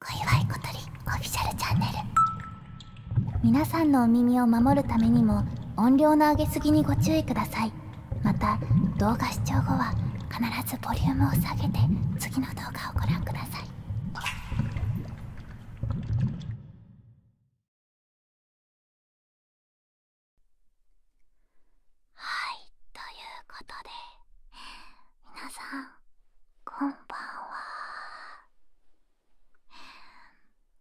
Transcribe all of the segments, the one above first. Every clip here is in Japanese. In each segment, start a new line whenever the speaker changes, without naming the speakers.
小祝小鳥オフィシャルチャンネル皆さんのお耳を守るためにも音量の上げすぎにご注意くださいまた動画視聴後は必ずボリュームを下げて次の動画をご覧くださいはいということでみなさんこんばんは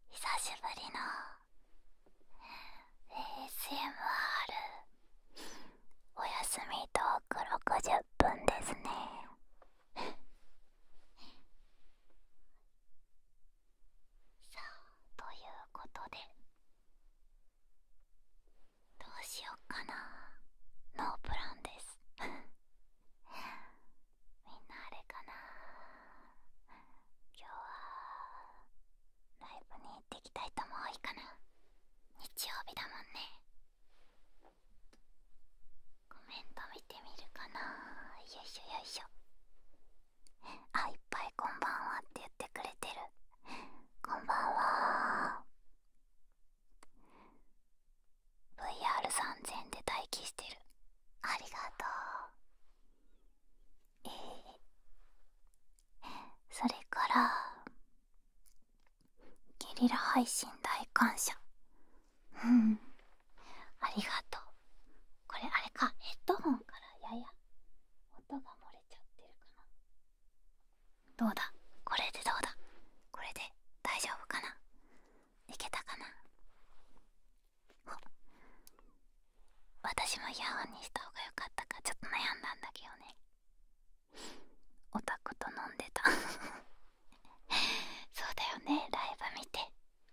久しぶりの ASMR おやすみトーク60分ですねさあということでどうしよっかなノープランです みんなあれかな今日はライブに行ってきた人も多いかな日曜日だもんねコメント見てみるかなよいしょよいしょあいっぱい「こんばんは」って言ってくれてるこんばんは VR3000 で待機してるありがとうええー、それからゲリラ配信大感謝うんありがとうこれあれかヘッドホンからやや音が漏れちゃってるかなどうだこれでどうだこれで大丈夫かないけたかな私もイヤホンにした方が良かったかちょっと悩んだんだけどねオタクと飲んでた そうだよねライブ見て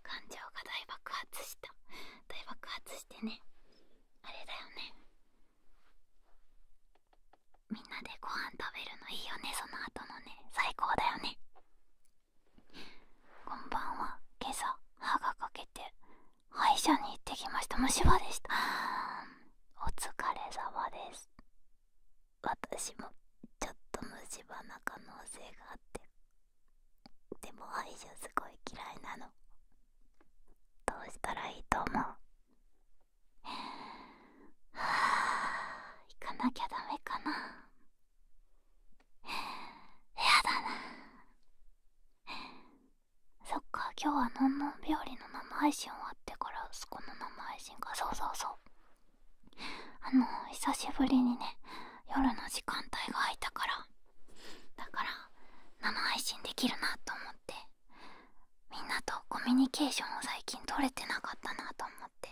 感情が大爆発した大爆発してねあれだよねみんなでご飯食べるのいいよねその後のね最高だよねこんばんは今朝歯が欠けて歯医者に行ってきました虫歯でした お疲れ様です私もちょっと虫歯な可能性があってでも歯医者すごい嫌いなのどうしたらいいと思うはあ行かなきゃダメかなやだなそっか今日はのんのん日和の生配信終わってから息子の生配信かそうそうそうあの久しぶりにね夜の時間帯が空いたからだから生配信できるなと思ってみんなとコミュニケーションを最近取れてなかったなと思って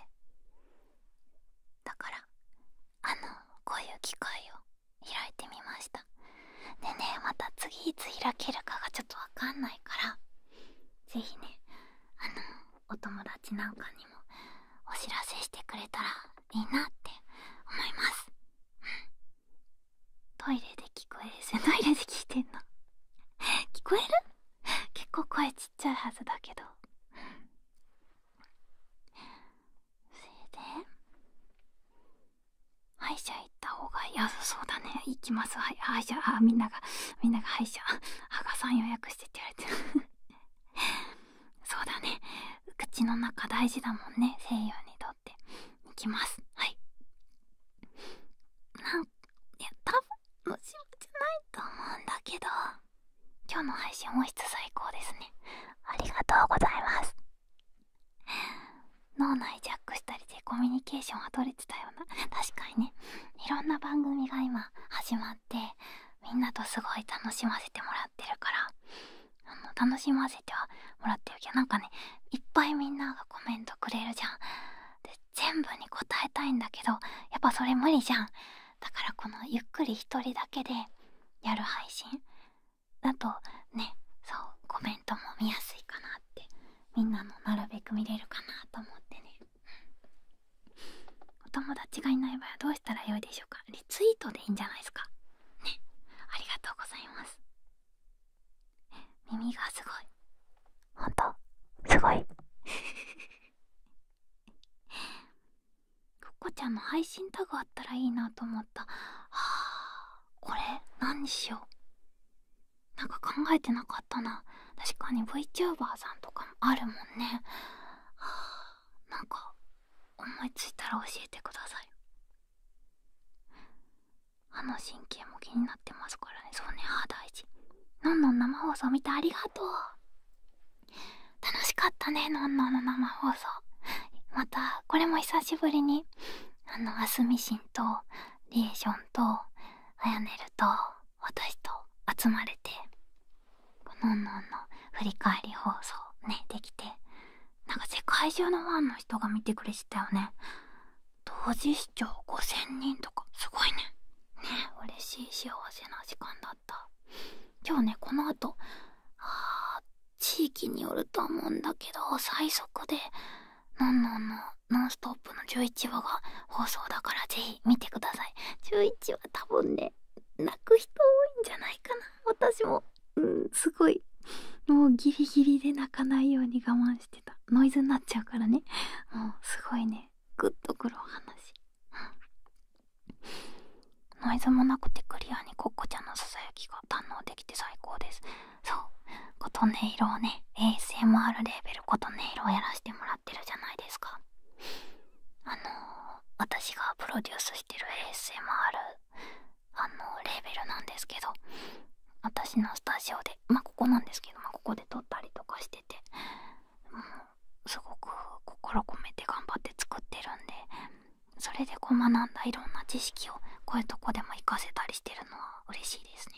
だからあのこういう機会を開いてみましたでねまた次いつ開けるかがちょっとわかんないから是非ねあのお友達なんかにもお知らせしてくれたらいいなって思いますトイレで聞こえる トイレで聞いてんの聞こえる結構声ちっちゃいはずだけどそれで歯医者行った方が安そうだね行きます歯医者あみんながみんなが歯医者歯がさん予約してって言われてる そうだね口の中大事だもんね西洋にとって行きますはいなんいや多分ムシムじゃないと思うんだけど今日の配信音質最高ですねありがとうございます脳内ジャックしたりでコミュニケーションは取れてたような確かにねいろんな番組が今始まってみんなとすごい楽しませてもらってるからあの楽しませてはもらってるけどなんかねいっぱいみんながコメントくれるじゃんで全部に答えたいんだけどやっぱそれ無理じゃんだからこのゆっくり一人だけでやる配信だとねそうコメントも見やすいかなってみんなのなるべく見れるかなと思ってねお友達がいない場合はどうしたらよいでしょうかリツイートでいいんじゃないですかねありがとうございます耳がすごいほんとすごい ココちゃんの配信タグあったらいいなと思ったはあこれ何にしようなんか考えてなかったな確かに VTuber さんとかもあるもんねはあなんか思いついたら教えてください歯の神経も気になってますからねそうね歯大事のんのん生放送見てありがとう楽しかったねのんのんの生放送またこれも久しぶりにあのあすみしんとリエーションとあやねると私と集まれてのんのんの振り返り放送ねできてなんか世界中のファンの人が見てくれてたよね同時視聴5000人とかすごいねね嬉しい幸せな時間だった今日ねこの後あ地域によるとは思うんだけど最速で「のんのんのノンストップ!」の11話が放送だからぜひ見てください11話多分ね泣く人多いんじゃないかな私もうんすごいもうギリギリで泣かないように我慢してノイズになっちゃうからねもうすごいねグッとくるお話ノイズもなくてクリアにコッコちゃんのささやきが堪能できて最高ですそう琴音色をね ASMR レーベル琴音色をやらしてもらってるじゃないですかあの私がプロデュースしてる ASMR あのレーベルなんですけど私のスタジオでまここなんですけど、まここで撮ったりとかしてて、うすごく心込めて頑張って作ってるんでそれでこう学んだいろんな知識をこういうとこでも活かせたりしてるのは嬉しいですね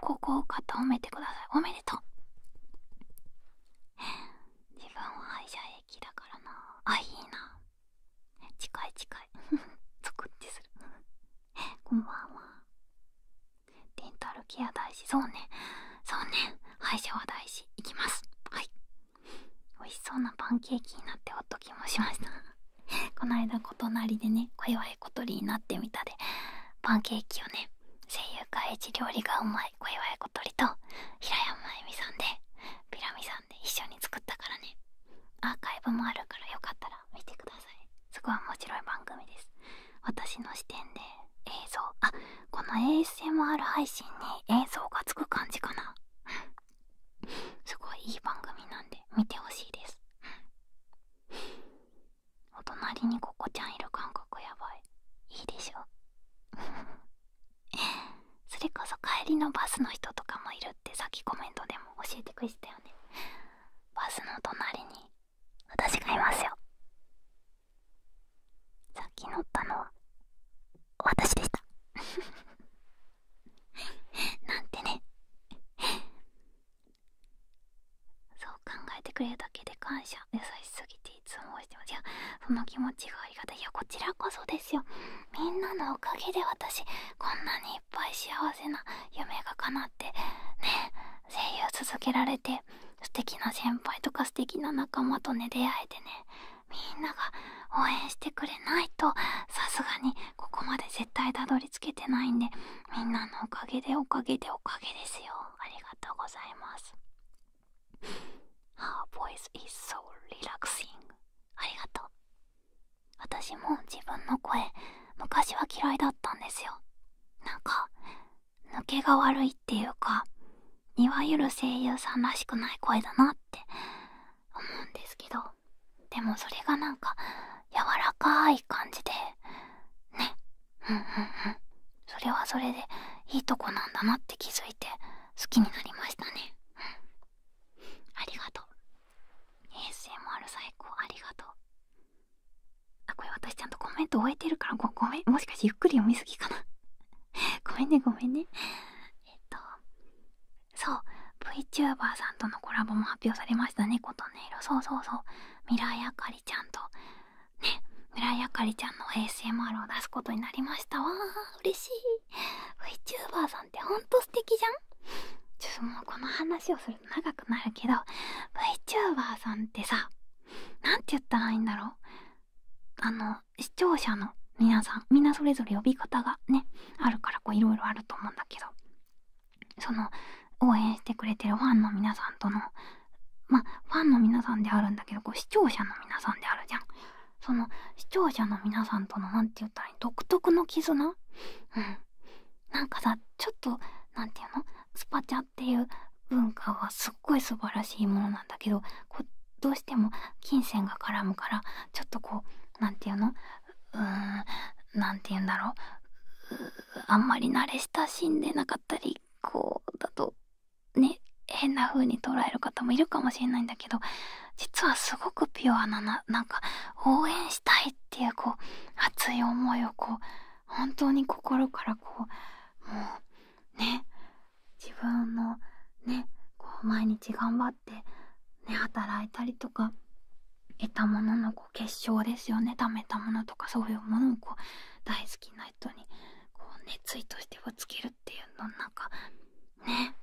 高校受か褒めてくださいおめでとう自分は歯者駅だからなあいいな近い近い ゾクってするこんばんはデンタルケア大事そうねそうね歯医者は大事いきますはい美味しそうなパンケーキになってほっときもしました こないだとなりでね小祝小鳥になってみたでパンケーキをね声優会一料理がうまい小祝小鳥と平山恵美さんでピラミさんで一緒に作ったからねアーカイブもあるからよかったら見てくださいすごい面白い番組です私の視点で映像あこの ASMR 配信に映像がつく感じかなすごいいい番組なんで見てほしいですお隣にここちゃんいる感覚やばいいいでしょ それこそ帰りのバスの人とかもいるってさっきコメントでも教えてくれてたよねバスの隣に私がいますよさっき乗ったのは私でした なんてねそう考えてくれるだけで感謝優しすぎていつもしてますいやその気持ちがありがたいいやこちらこそですよみんなのおかげで私こんなにいっぱい幸せな夢が叶ってね声優続けられて素敵な先輩とか素敵な仲間とね出会えてねみんなが応援してくれないとさすがにここまで絶対たどり着けてないんでみんなのおかげでおかげでおかげですよありがとうございます Her voice is so relaxing ありがとう私も自分の声昔は嫌いだったんですよなんか抜けが悪いっていうかいわゆる声優さんらしくない声だなって思うんですけどでもそれがなんか柔らかい感じでねうんうんうんそれはそれでいいとこなんだなって気づいて好きになりましたね、ありがとう ASMR 最高ありがとうあこれ私ちゃんとコメント終えてるからごめんもしかしてゆっくり読みすぎかな ごめんねごめんねえっとそう VTuber さんとのコラボも発表されましたね琴音色そうそうそうミライあかりちゃんとねミライあかりちゃんの ASMR を出すことになりましたわー嬉しい VTuber さんってほんと素敵じゃんちょっともうこの話をす長くなるけど VTuber さんってさ何て言ったらいいんだろうあの視聴者の皆さんみんなそれぞれ呼び方がねあるからこういろいろあると思うんだけどその応援してくれてるファンの皆さんとのまあファンの皆さんであるんだけどこう視聴者の皆さんであるじゃんその視聴者の皆さんとの何て言ったらいい独特の絆うんなんかさちょっと何て言うのスパチャっていう文化はすっごい素晴らしいものなんだけどこうどうしても金銭が絡むからちょっとこうなんていうのうんなんて言うんだろうあんまり慣れ親しんでなかったりこうだとね変な風に捉える方もいるかもしれないんだけど実はすごくピュアななんか応援したいっていうこう熱い思いをこう本当に心からこうもうね自分のねこう毎日頑張って、ね、働いたりとか得たもののこう結晶ですよね貯めたものとかそういうものをこう大好きな人にこう熱意としてぶつけるっていうのなんかね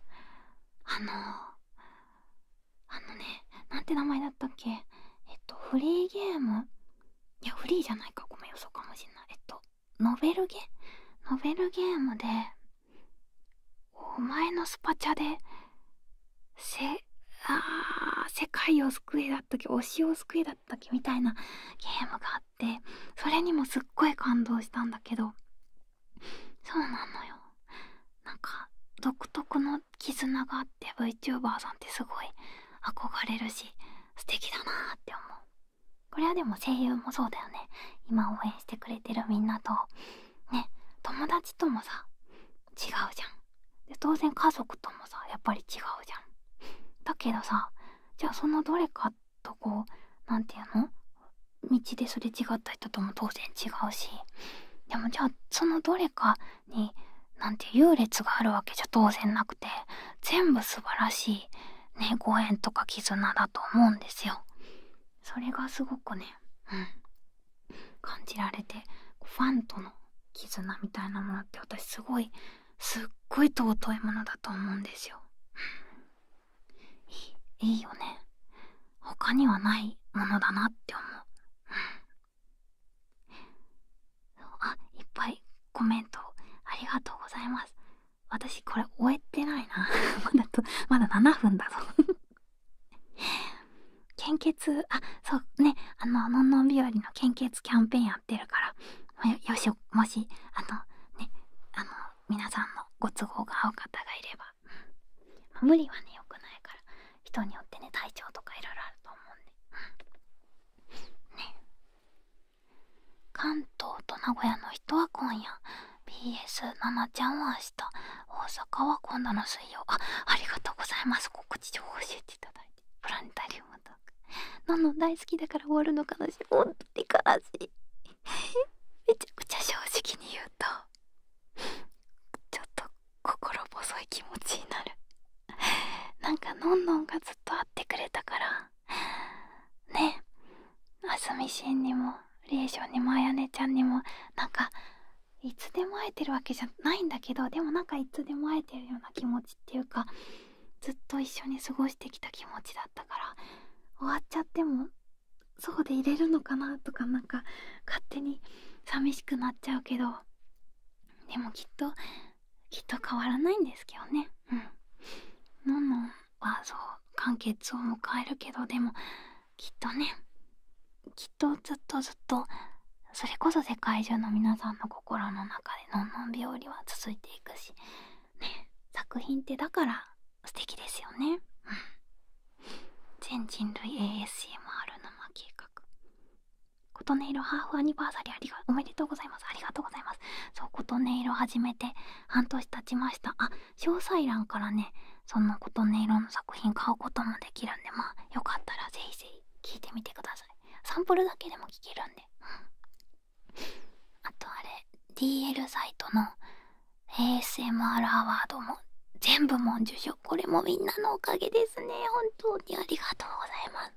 あのあのねなんて名前だったっけえっとフリーゲームいやフリーじゃないかごめんよそかもしんないえっとノベルゲノベルゲームでお前のスパチャでせあ世界を救いだったっけ推しを救いだったっみたいなゲームがあってそれにもすっごい感動したんだけどそうなのよなんか独特の絆があって VTuber さんってすごい憧れるし素敵だなって思うこれはでも声優もそうだよね今応援してくれてるみんなとね友達ともさ違うじゃんで当然家族ともさやっぱり違うじゃんだけどさじゃあそのどれかとこう何て言うの道ですれ違った人とも当然違うしでもじゃあそのどれかになんて優劣があるわけじゃ当然なくて全部素晴らしい、ね、ご縁とか絆だと思うんですよ。それがすごくね、うん、感じられてファンとの絆みたいなものって私すごいすっごい尊いものだと思うんですよ。いいいいよね。他にはないものだなって思う。あいっぱいコメントありがとうございます私これ終えてないな まだとまだ7分だぞ 献血あそうねあののんのん日和の献血キャンペーンやってるからよしもしあのねあの皆さんのご都合が合う方がいれば、無理はねよくないから人によってね体調とかいろいろあると思うんでね関東と名古屋の人は今夜 BS7 ちゃんは明日大阪は今度の水曜あありがとうございます告知情報教えていただいてプラネタリウムとかのの大好きだから終わるの悲しい本当に悲しいめちゃくちゃ正直に言うとちょっと心細い気持ちになる なんかのんのんがずっと会ってくれたからねあすみしんにもりえしょんにもあやねちゃんにもなんかいつでも会えてるわけじゃないんだけどでもなんかいつでも会えてるような気持ちっていうかずっと一緒に過ごしてきた気持ちだったから終わっちゃってもそうでいれるのかなとかなか勝手に寂しくなっちゃうけどでもきっときっと変わらないんですけどねのんのんはそう完結を迎えるけどでもきっとねきっとずっとずっとそれこそ世界中の皆さんの心の中でのんのん病理は続いていくしね作品ってだから素敵ですよねうん全人類 ASMR 生計画琴音色ハーフアニバーサリーありがおめでとうございますありがとうございますそう琴音色始めて半年経ちましたあ詳細欄からねその琴音色の作品買うこともできるんでまあよかったらぜひぜひ聞いてみてくださいサンプルだけでも聞けるんで、うん、あとあれ DL サイトの ASMR アワードも全部も受賞これもみんなのおかげですね本当にありがとうございます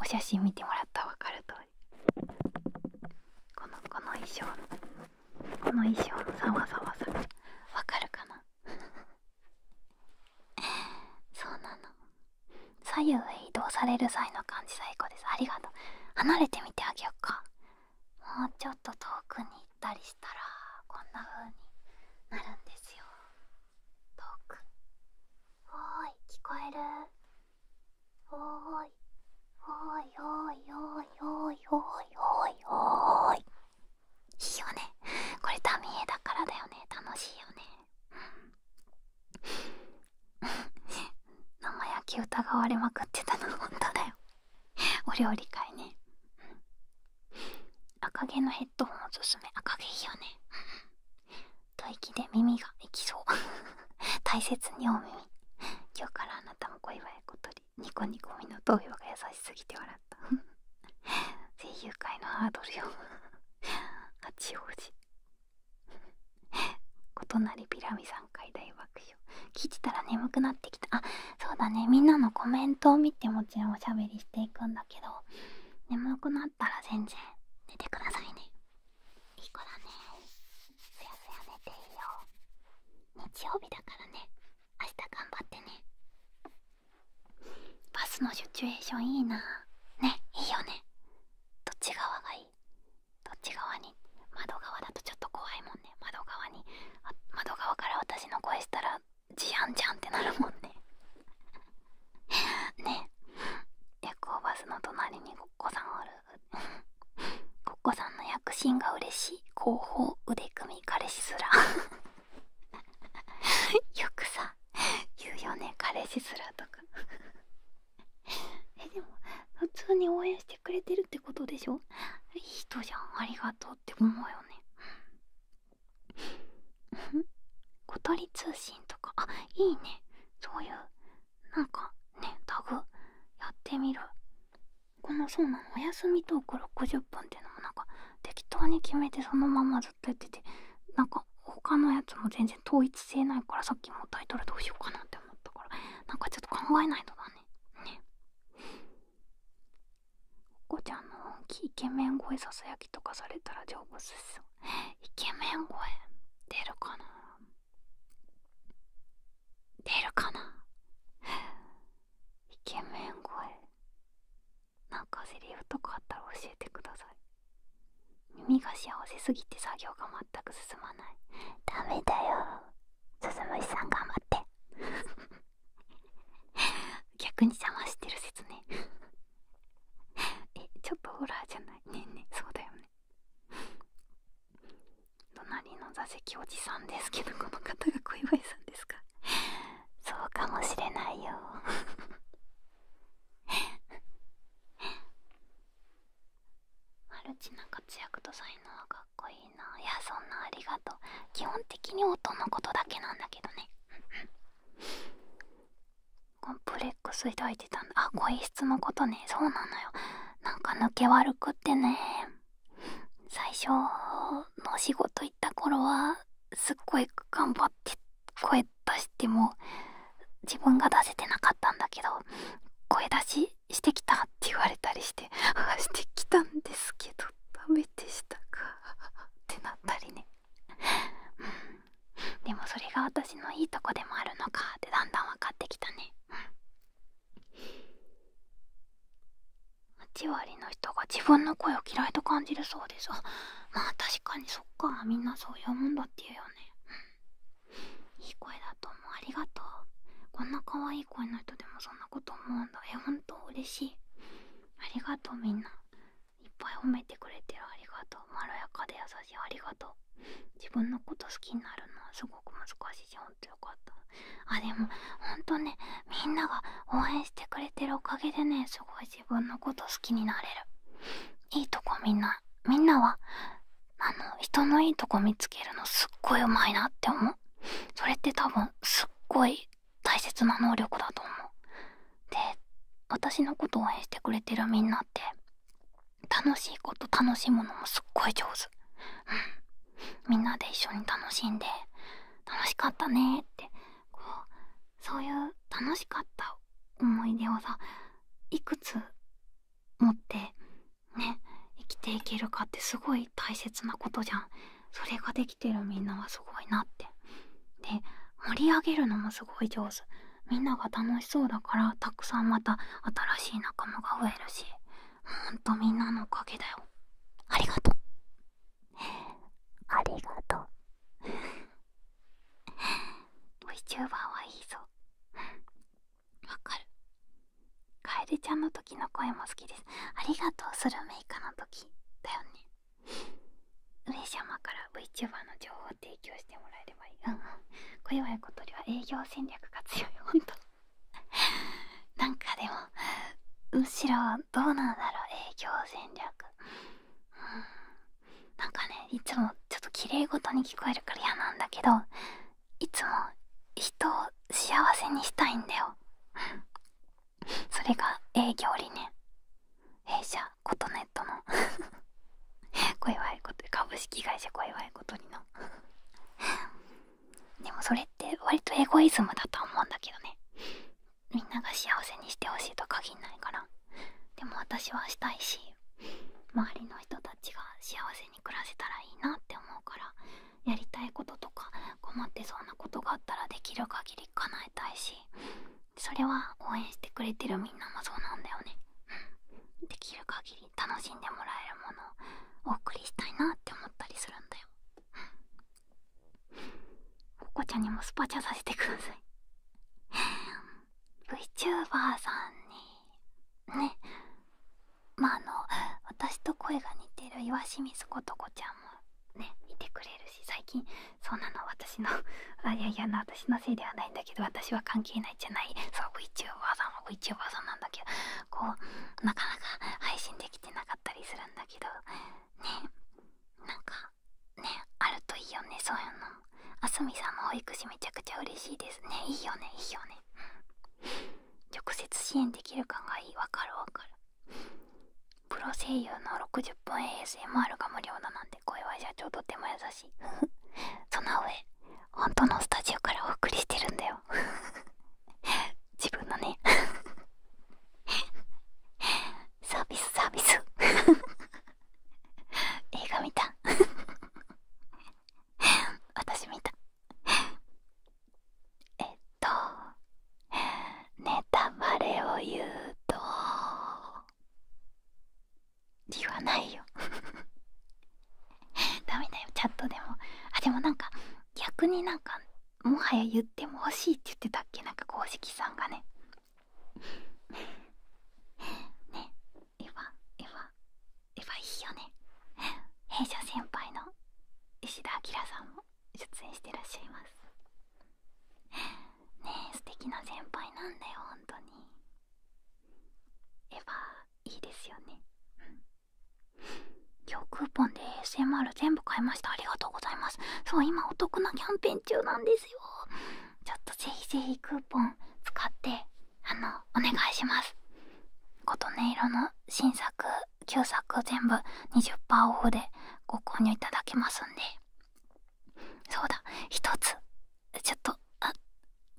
お写真見てもらったら分かる通りこのこの衣装この衣装のざわざわさが分かるかな そうなの左右へ移動される際の感じ最高ですありがとう離れてみてあげようかもうちょっと遠くに行ったりしたらこんな風になるんですよ遠くおーい聞こえるおーいおーいおーいおーいおーいおいおいおいいいよねこれ民ミだからだよね楽しいよね生焼き疑われまくってたのほんとだよお料理会ね赤毛のヘッドホンおすすめ赤毛いいよね吐息で耳がいきそう 大切にお耳今日からあなたも小はや小鳥ニコニコみの投票が優しすぎて笑った 声優界のハードルよ 八王子異なりピラミ3回大爆笑聞いてたら眠くなってきたあそうだねみんなのコメントを見てもちろんおしゃべりしていくんだけど眠くなったら全然寝てくださいねいい子だねすやすや寝ていいよ日曜日だからね明日頑張ってねバスのシチュエーションいいなねいいよねどっち側がいいどっち側に窓側だとちょっと怖いもんね窓側に窓側から私の声したら「ジャンジャン」ってなるもんねね夜行バスの隣にごっこさんおる ごっこさんの躍進が嬉しい後方腕組み彼氏すら よくさ言うよね彼氏すらとか えでも普通に応援してくれてるってことでしょいい人じゃんありがとうって思うよね小鳥通信とかあいいねそういうなんかねタグやってみるこのそうなのお休みトーク60分っていうのもなんか適当に決めてそのままずっとやっててなんか他のやつも全然統一性ないからさっきもタイトルどうしようかなって思ったからなんかちょっと考えないとだねねおこちゃんの大きいイケメン声ささやきとかされたら成仏すイケメン声出るかな出るかなイケメン声なんかセリフとかあったら教えてください耳が幸せすぎて作業が全く進まないダメだよ鈴虫さん頑張って 逆に邪魔してる説ねえちょっとホラーじゃないねえねえそうだよね隣の座席おじさんですけどこの方が小祝さんですか そうかもしれないよ マルチな活躍と才能はかっこいいないやそんなありがとう基本的に音のことだけなんだけどねコンプレックス抱いてたんだあ声質のことねそうなのよなんか抜け悪くってね最初の仕事行った頃はすっごい頑張って声出しても自分が出せてなかったんだけど声出ししてきたって言われたりしてしてきたんですけどダメでしたかってなったりねうんでもそれが私のいいとこでもあるのかってだんだん分かってきたねうん8割の人が自分の声を嫌いと感じるそうですあまあ確かにそっかみんなそういうもんだって言うよね、うん、いい声だと思うありがとうこんな可愛い声の人でもそんなこと思うんだえほんと嬉しいありがとうみんないっぱい褒めてくれてるありがとうまろやかで優しいありがとう自分のこと好きになるのはすごく難しいしほんとよかったあでもほんとねみんなが応援してくれてるおかげでねすごい自分のこと好きになれるいいとこみんなみんなはあの人のいいとこ見つけるのすっごいうまいなって思うそれって多分すっごい大切な能力だと思うで私のこと応援してくれてるみんなって楽しいこと楽しむのもすっごい上手うんみんなで一緒に楽しんで楽しかったねってこうそういう楽しかった思い出をさいくつ持ってね生きていけるかってすごい大切なことじゃんそれができてるみんなはすごいなってで盛り上げるのもすごい上手みんなが楽しそうだからたくさんまた新しい仲間が増えるしほんとみんなのおかげだよありがとうありがとう VTuber はいいぞわかるカエルちゃんの時の声も好きですありがとうするメイカの時だよね上様から VTuber の情報を提供してもらえればいいうんうん小祝小鳥は営業戦略が強いほん なんかでもむしろどうなんだろう営業戦略うんなんかねいつもちょっときれいごとに聞こえるから嫌なんだけどいつも人を幸せにしたいんだよそれが営業理念弊社はコネットの小 いこと株式会社小祝いことにの でもそれって割とエゴイズムだと思うんだけどねみんなが幸せにしてほしいと限んないからでも私はしたいし周りの人たちが幸せに暮らせたらいいなって思うからやりたいこととか困ってそうなことがあったらできる限り叶えたいしそれは応援してくれてるみんなもそうなんだよねできる限り楽しんでもらえるものをお送りしたいなって思ったりするんだよここちゃんにもスパチャさせてください VTuber さんにねまああの私と声が似てる岩清水ことこちゃんもねいてくれるし最近そんなの私のあいやいやな。私のせいではないんだけど私は関係ないじゃないそう VTuber さんは VTuber さんなんだけどこうなかなか配信できてなかったりするんだけどねなんかねあるといいよねそういうのあすみさんの保育士めちゃくちゃ嬉しいですねいいよねいいよね直接支援できる感がいいわかるわかるプロ声優の60分 ASMR が無料だなん声は社長とても優しい その上本当のスタジオからお送りしてるんだよ 自分のね サービスサービス映画見た私見たえっとネタバレを言うと理由ないよ ダメだよチャットでもあでもなんか逆になんかもはや言っても欲しいって言ってたっけなんか公式さんがね ねエヴァエヴァエヴァいいよね弊社先輩の石田明さんも出演してらっしゃいますねえ素敵な先輩なんだよ本当にエヴァいいですよねうん今日クーポンで ASMR 全部買いましたありがとうございますそう今お得なキャンペーン中なんですよちょっとぜひぜひクーポン使ってあのお願いします琴音色の新作旧作全部20%オフでご購入いただけますんでそうだ一つちょっと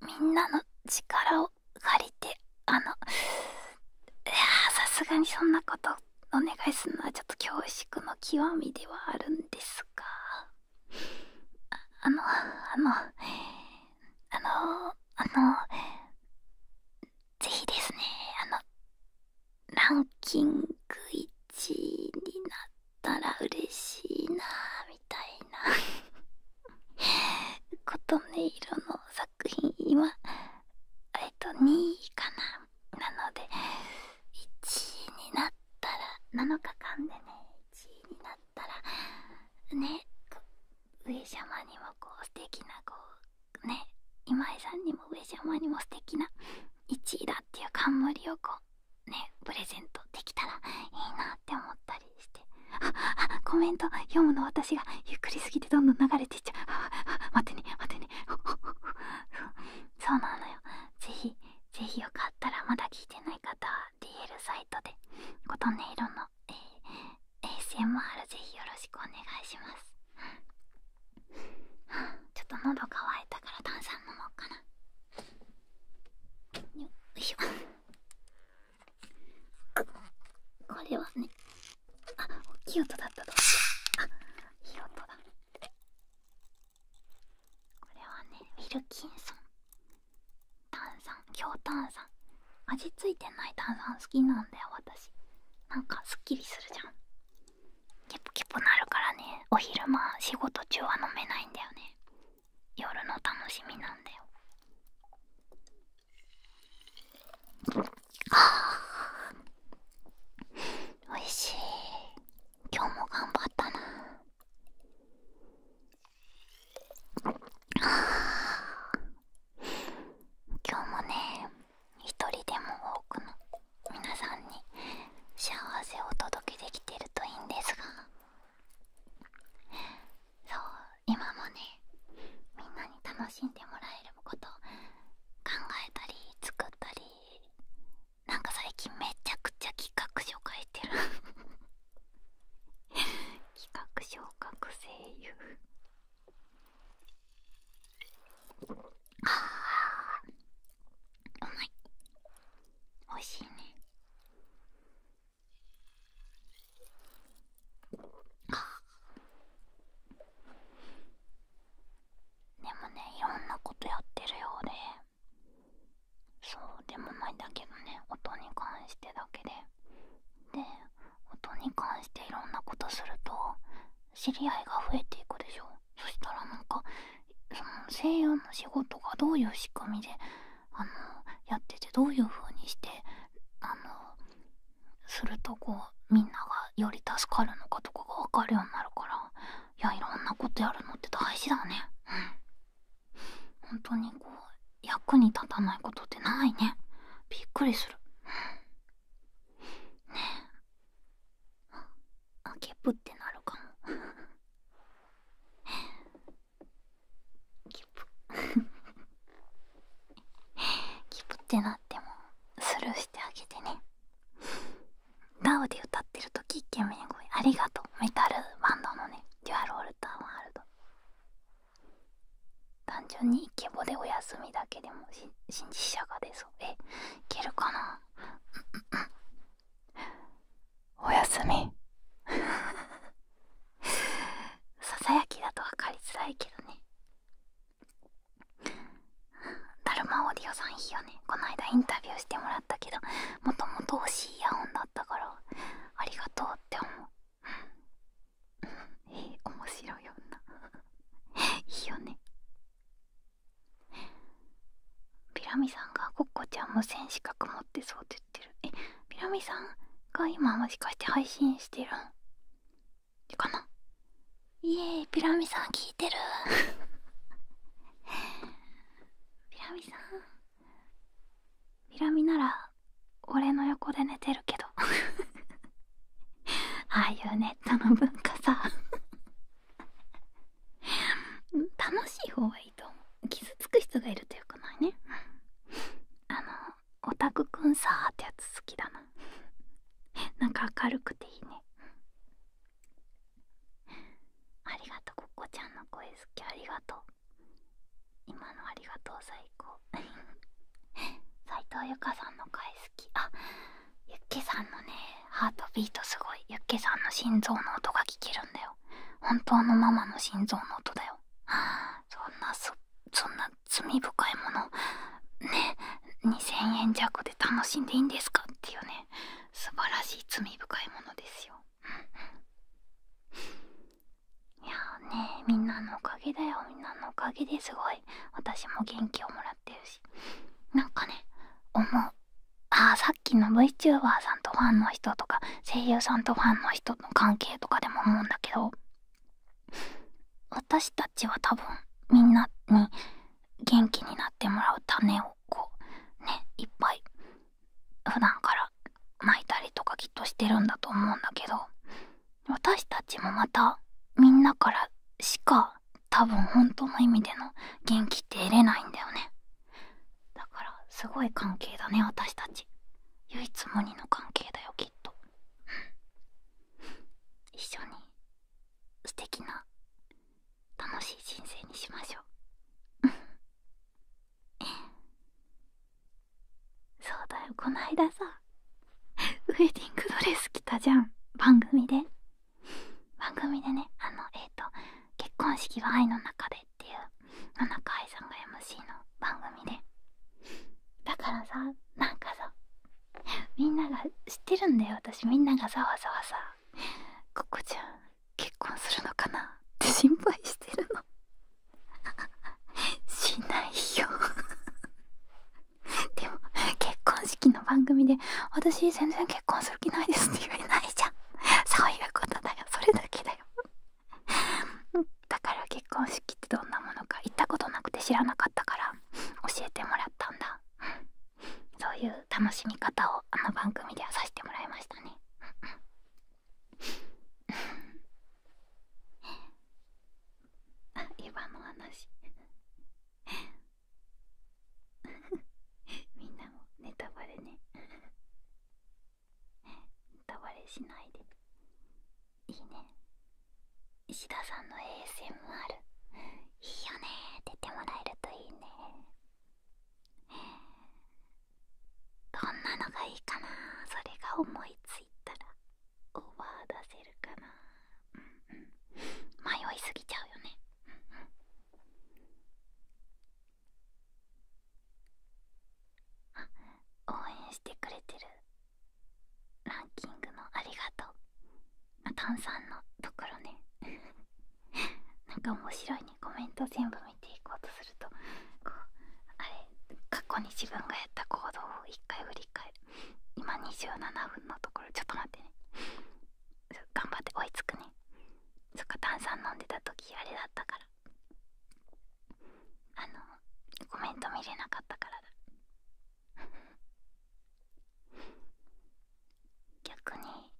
みんなの力を借りてあのいやさすがにそんなことお願いするのはちょっと恐縮の極みではあるんですがあのあのあのあのぜひですねあのランキング1位になっ…ったら嬉しいなみたいな琴音色の作品今えっと2位かななので1位になったら7日間でね1位になったらね上様にもこう素敵なこね今井さんにも上様にも素敵な1位だっていう冠をこうねプレゼントできたらいいなって思ったりしてああコメント読むの私がゆっくりすぎてどんどん流れていっちゃうあ待ってね待ってねそうなのよぜひぜひよかったらまだ聞いてない方は DL サイトで琴音色の、えー、ASMR ぜひよろしくお願いしますちょっと喉乾いたから炭酸飲もうかなよいしょこれはねあ大きい音だったとあ広い音だこれはねウィルキンソン炭酸強炭酸味付いてない炭酸好きなんだよ私なんかすっきりするじゃんケポケポなるからねお昼間仕事中は飲めないんだよね夜の楽しみなんだよあおいしい今日も頑張ったなあ今日もね一人でも多くの皆さんに幸せをお届けできてるといいんですがそう今もねみんなに楽しんでもらえること考えたり作ったりなんか最近めちゃくちゃ企画書書いてる 企画書学生優ああうまいおいしいねでもねいろんなことやってるようでそうでもないんだけどね音に関してだけでで音に関していろんなことすると知り合いが増えていくでしょそしたらなんかその声優の仕事がどういう仕組みであのやっててどういう風にしてあのするとこうみんながより助かるのかとかが分かるようになるからいやいろんなことやるのって大事だねうん本当にこう役に立たないことってないねびっくりするねえあけぷってなるかもギブ…ギブってなってもスルーしてあげてねダウで歌ってるときイケメン声ありがとうメタルバンドのねデュアルオルターワールド単純にイケボでお休みだけでも新実者が出そうえいけるかなおやすみ ささやきだと分かりづらいけどねだるまオーディオさんいいよねこの間インタビューしてもらったけどもともと欲しいイヤホンだったからありがとうって思うえー、面白いよな いいよねピラミさんがコッコちゃん無線資格持ってそうって言ってる。してるえみなみさんが今もしかして配信してるんかなイエイピラミさん聞いてる ピラミさんピラミなら俺の横で寝てるけど ああいうネットの文化さ 楽しい方がいい。傷つく人がいるとよくないね あのオタクくんさーってやつ好きだな なんか明るくていいねありがとうここちゃんの声好きありがとう今のありがとう最高斎 藤由香さんの声好きあユッケさんのねハートビートすごいユッケさんの心臓の音が聞けるんだよ本当のママの心臓の音だよよそんなそそんな罪深いものね2000円弱で楽しんでいいんですかっていうね素晴らしい罪深いものですよいやーねみんなのおかげだよみんなのおかげですごい私も元気をもらってるしなんかね思うあさっきの VTuber さんとファンの人とか声優さんとファンの人と。の関係とかでも思うんだけど私たちは多分みんなに元気になってもらう種をこうねいっぱい普段から巻いたりとかきっとしてるんだと思うんだけど私たちもまたみんなからしか多分本当の意味での元気って得れないんだよねだからすごい関係だね私たち唯一無二の関係だよきっと一緒に素敵な楽しい人生にしましょうそうだよこの間さウェディングドレス着たじゃん番組で番組でねあのえっ、と結婚式は愛の中でっていう野中愛さんが MC の番組でだからさなんかさみんなが知ってるんだよ私みんながざわざわさ「ここちゃん結婚するのかな?」って心配してるのしないよでも結婚式の番組で「私全然結婚する気ないです」って言われないじゃんそういうことだよそれだけだよ だから結婚式ってどんなものか行ったことなくて知らなかったから教えてもらったんだそういう楽しみ方をあの番組ではさせてもらいましたね今 の話 みんなもネタバレねネタバしないでいいね石田さんの衛星もある。いいよね出てもらえるといいねどんなのがいいかなそれが思いついたらオーバー出せるかな迷いすぎちゃうよねうんうん応援してくれてるランキングのありがとうあ炭酸のところね何 か面白いねコメント全部見ていこうとするとこうあれ過去に自分がやった行動を1回振り返る今27分のところちょっと待ってね頑張って追いつくねそっか炭酸飲んでた時あれだったからあのコメント見れなかったからだ 逆に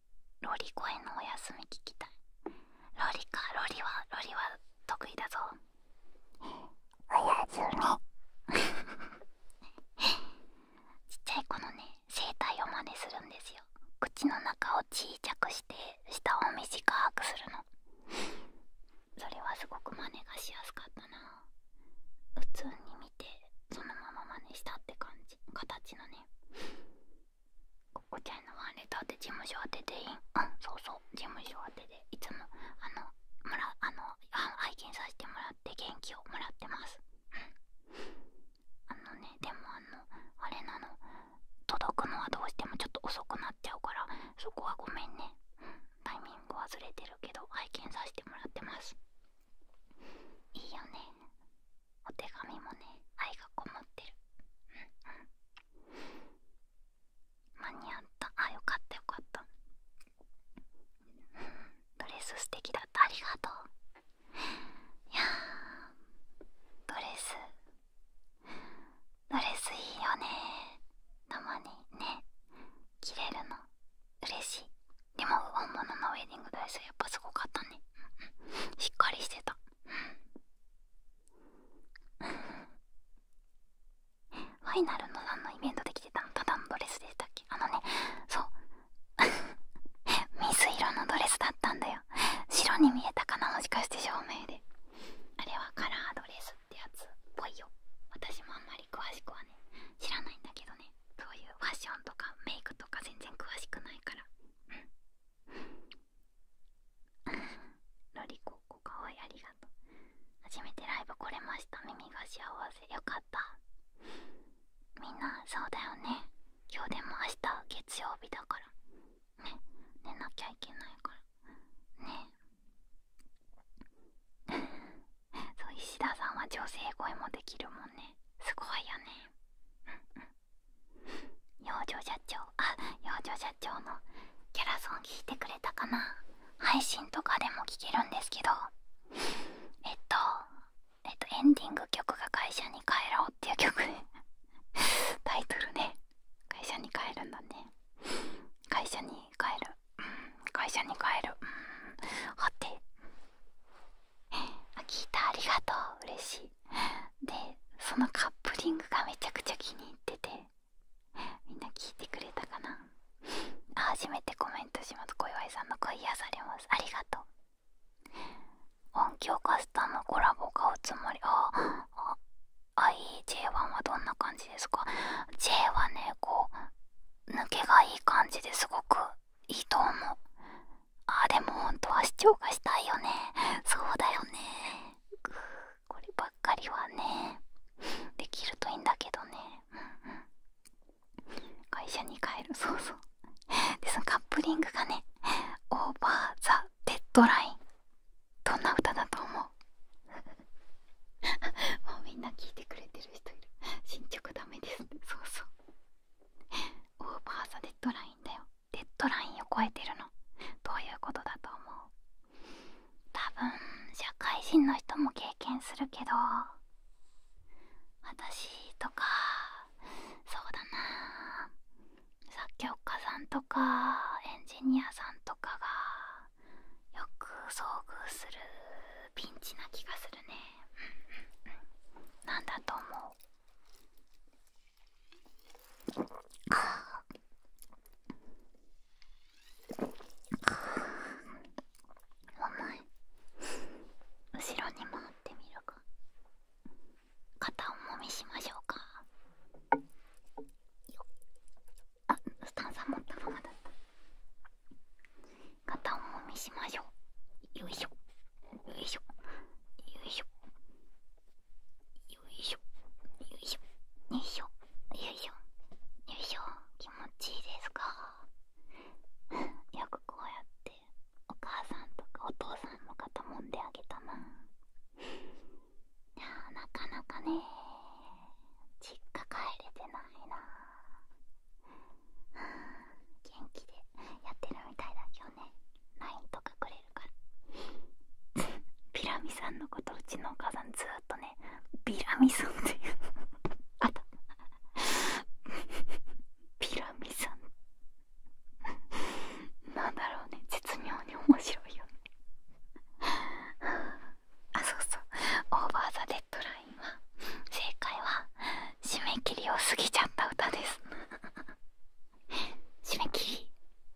ロリ声のお休み聞きたいロリかロリはロリは得意だぞおやすみ ちっちゃい子のね声帯を真似するんですよ口の中を小さくして下を短くするのそれはすごく真似がしやすかったな普通に見てそのまま真似したって感じ形のねここちゃんのワンレターって事務所当てでいいうんそうそう事務所当てでいつもあのもあの拝見させてもらって元気をもらってますあのねでもあのあれなの届くのはどうしてもちょっと遅くなっちゃうからそこはごめんね、タイミング忘れてるけど拝見させてもらってますいいよねお手紙もね愛がこもってる間に合ったあよかったよかったドレス素敵だったありがとういやドレスドレスいいよねたまにね着れるの嬉しいでも本物のウェディングドレスやっぱすごかったねしっかりしてたファイナルの何のイベントで着てたのただのドレスでしたっけあのねそう水 色のドレスだったんだよ白に見えたかなもしかして照明であれはカラードレスってやつっぽいよ私もあんまり詳しくはね知らないんだけどねそういうファッションとかメイクとか全然詳しくないからうんロリココかわいいありがとう初めてライブ来れました耳が幸せよかったみんなそうだよね今日でも明日月曜日だからね寝なきゃいけないからねそう石田さんは女性声もできるもんねすごいよね養生社長あ養生社長のキャラソン聞いてくれたかな配信とかでも聞けるんですけどえっとえっとエンディング曲が「会社に帰ろう」っていう曲タイトルね会社に帰るんだね会社に帰る、うん、会社に帰る、うん、はて あ聞いたありがとう嬉しいでそのカップリングがめちゃくちゃ気に入っててみんな聞いてくれたかな初めてコメントします小祝さんの声癒されますありがとう音響カスタムコラボがおつもりああ IJ1 はどんな感じですか ?J はねこう抜けがいい感じですごくいいと思うあでも本当は視聴がしたいよねそうだよねこればっかりはねできるといいんだけどね、うんうん、会社に帰るそうそうでそのカップリングがねオーバーザ・デッドラインどんな歌だと思う もうみんな聞いてくれてる人いる進捗ダメですね。そうそうオーバーザデッドラインだよデッドラインを超えてるのどういうことだと思う多分社会人の人も経験するけど私とかそうだな作曲家さんとかエンジニアさんとかがよく遭遇するピンチな気がするねなんだと思うか。お前後ろに回ってみるか肩重みしましょうかあスタンさんもったままだった片思みしましょうよいしょよいしょよいしょよいしょよいしょよいしょよいしょよいしょ気持ちいいですか よくこうやってお母さんとかお父さんの肩もんであげたななかなかね実家帰れてないな元気でやってるみたいだけどね LINE とかくれるからピラミさんのことうちのお母さんずっとねピラミさんっていうあっピラミさんなんだろうね絶妙に面白いよね あそうそう「オーバー・ザ・デッド・ラインは」正解は締め切りを過ぎちゃった歌です 締め切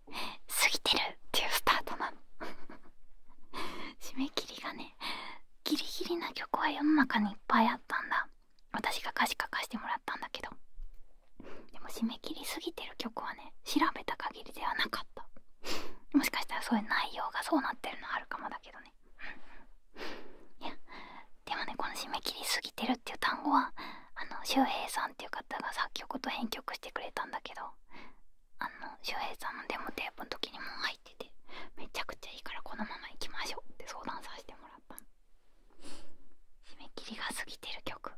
り過ぎてるっていうスタートなの 締め切りがねギリギリな曲は世の中にいっぱいあったんだ私が歌詞書かしてもらったんだけどでも締め切りすぎてる曲はね調べた限りではなかったもしかしたらそういう内容がそうなってるのはあるかもだけどねいやでもねこの「締め切りすぎてる」っていう単語はあの周平さんっていう方が作曲と編曲してくれたんだけどあの周平さんのデモテープの時にもう入っててめちゃくちゃいいからこのまま行きましょうって相談させてもらったの締め切りが過ぎてる曲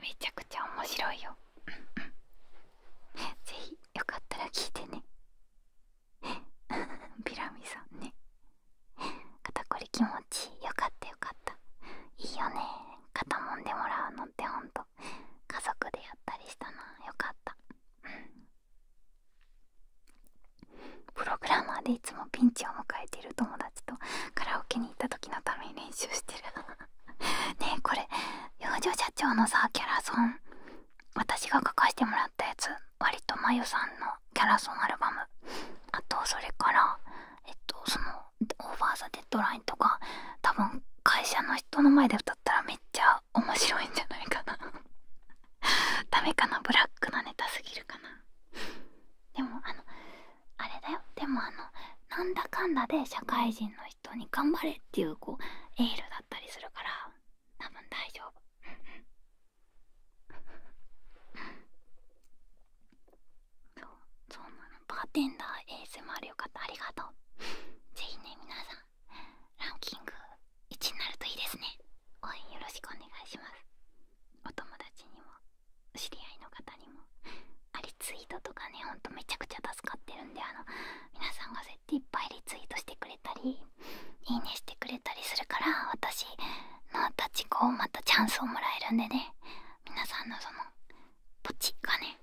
めちゃくちゃ面白いよ ぜひよかったら聞いてね ピラミさんね肩こり気持ちよかったよかったいいよね肩もんでもらうのってほんと家族でやったりしたなよかったプログラマーでいつもピンチを迎えている友達とカラオケに行った時のために練習してる ねえこれ養生社長のさキャラソン私が書かしてもらったやつ割とまゆさんのキャラソンアルバムあとそれからえっとそのオーバー・ザ・デッドラインとか多分会社の人の前で歌ったらめっちゃ面白いんじゃないかな ダメかなブラックなネタすぎるかなでもあのあれだよでもあのなんだかんだで社会人の人に頑張れっていうこうエールだったりするから多分大丈夫そうそうなのバーテンダー ASMR よかったありがとうぜひね皆さんランキング1になるといいですね応援よろしくお願いしますお友達にもお知り合いの方にもあリツイートとかねほんとめちゃくちゃ助かってるんであの皆さんがそうっていっぱいリツイートしてくれたりいいねしてくれたりするから私の立ち子をまたチャンスをもらえるんでね皆さんのそのポチがね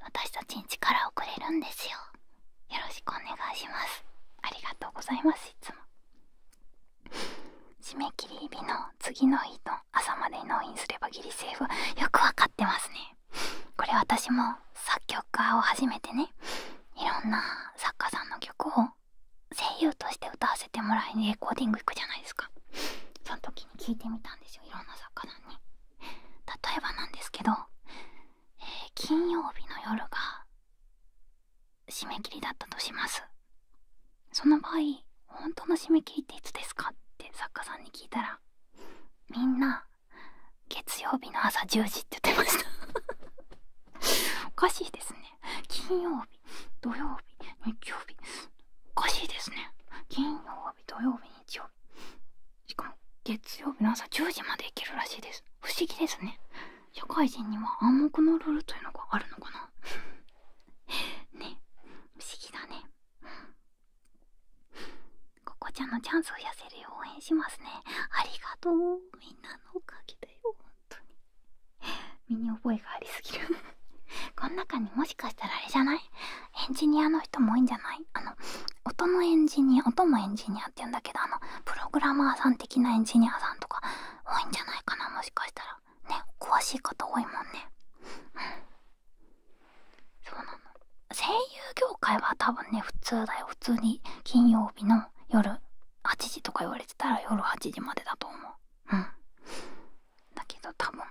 私たちに力をくれるんですよよろしくお願いしますありがとうございますいつも締め切り日の次の日の朝までに納品すればギリセーフよくわかてますねこれ私も作曲家を始めてねいろんな作家さんの曲を声優として歌わせてもらいにレコーディング行くじゃないですかその時に聞いてみたんですよいろんな作家さんに例えばなんですけど、え金曜日の夜が締め切りだったとしますその場合本当の締め切りっていつですかって作家さんに聞いたらみんな月曜日の朝10時って言ってましたおかしいですね金曜日土曜日日曜日おかしいですね金曜日土曜日日曜日しかも月曜日の朝10時まで行けるらしいです不思議ですね社会人には暗黙のルールというのがあるのかなね不思議だねここちゃんのチャンスを痩せるよう応援しますねありがとうみんなのおかげだよ本当に身に覚えがありすぎる この中にもしかしたらあれじゃないエンジニアの人も多いんじゃないあの音のエンジニア音もエンジニアって言うんだけどあのプログラマーさん的なエンジニアさんとか多いんじゃないかなもしかしたらね詳しい方多いもんねそうなの声優業界は多分ね普通だよ普通に金曜日の夜8時とか言われてたら夜8時までだと思ううんだけど多分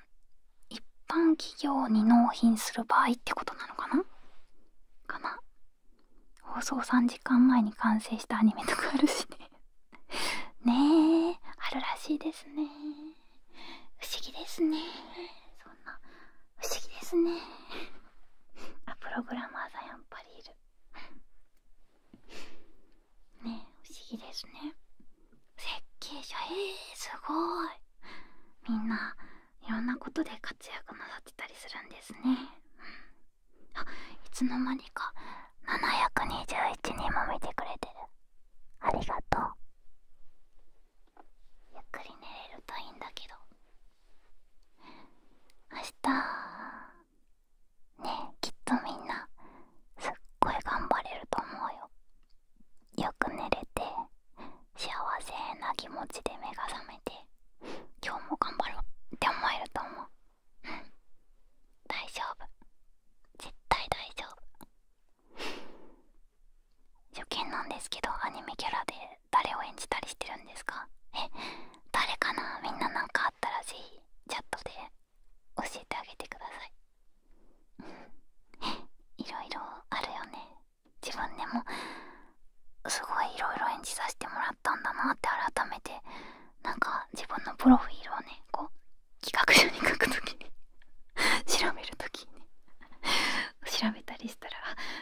一般企業に納品する場合ってことなのかなかな放送3時間前に完成したアニメとかあるしね ねえあるらしいですね不思議ですねそんな不思議ですね あプログラマーさんやっぱりいるねえ不思議ですね設計者えー、すごいみんないろんなことで活躍なさってたりするんですね、うん、いつの間にか721人も見てくれてるありがとうゆっくり寝れるといいんだけど明日ねきっとみんなすっごい頑張れると思うよよく寝れて幸せな気持ちで目が覚めて今日も頑張ろうって思えると思ううん大丈夫絶対大丈夫初見なんですけどアニメキャラで誰を演じたりしてるんですかえ誰かなみんななんかあったらぜひチャットで教えてあげてください いろいろあるよね自分でもすごいいろいろ演じさせてもらったんだなって改めてなんか自分のプロフィールをねこう企画書に書くときに 調べるときにね調べたりしたら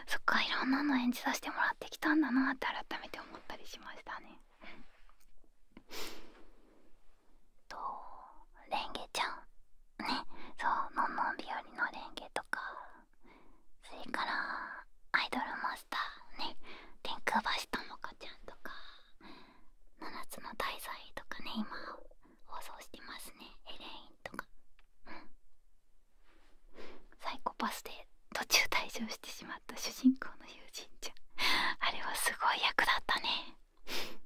そっかいろんなの演じさせてもらってきたんだなって改めて思ったりしましたね。とレンゲちゃんねそう「のんのんびより」のレンゲとかそれからアイドルマスターね天空橋ともかちゃんとか「七つの大罪」とかね今放送してますねエレインとかうんサイコパスで途中退場してしまった主人公の友人ちゃんあれはすごい役だったね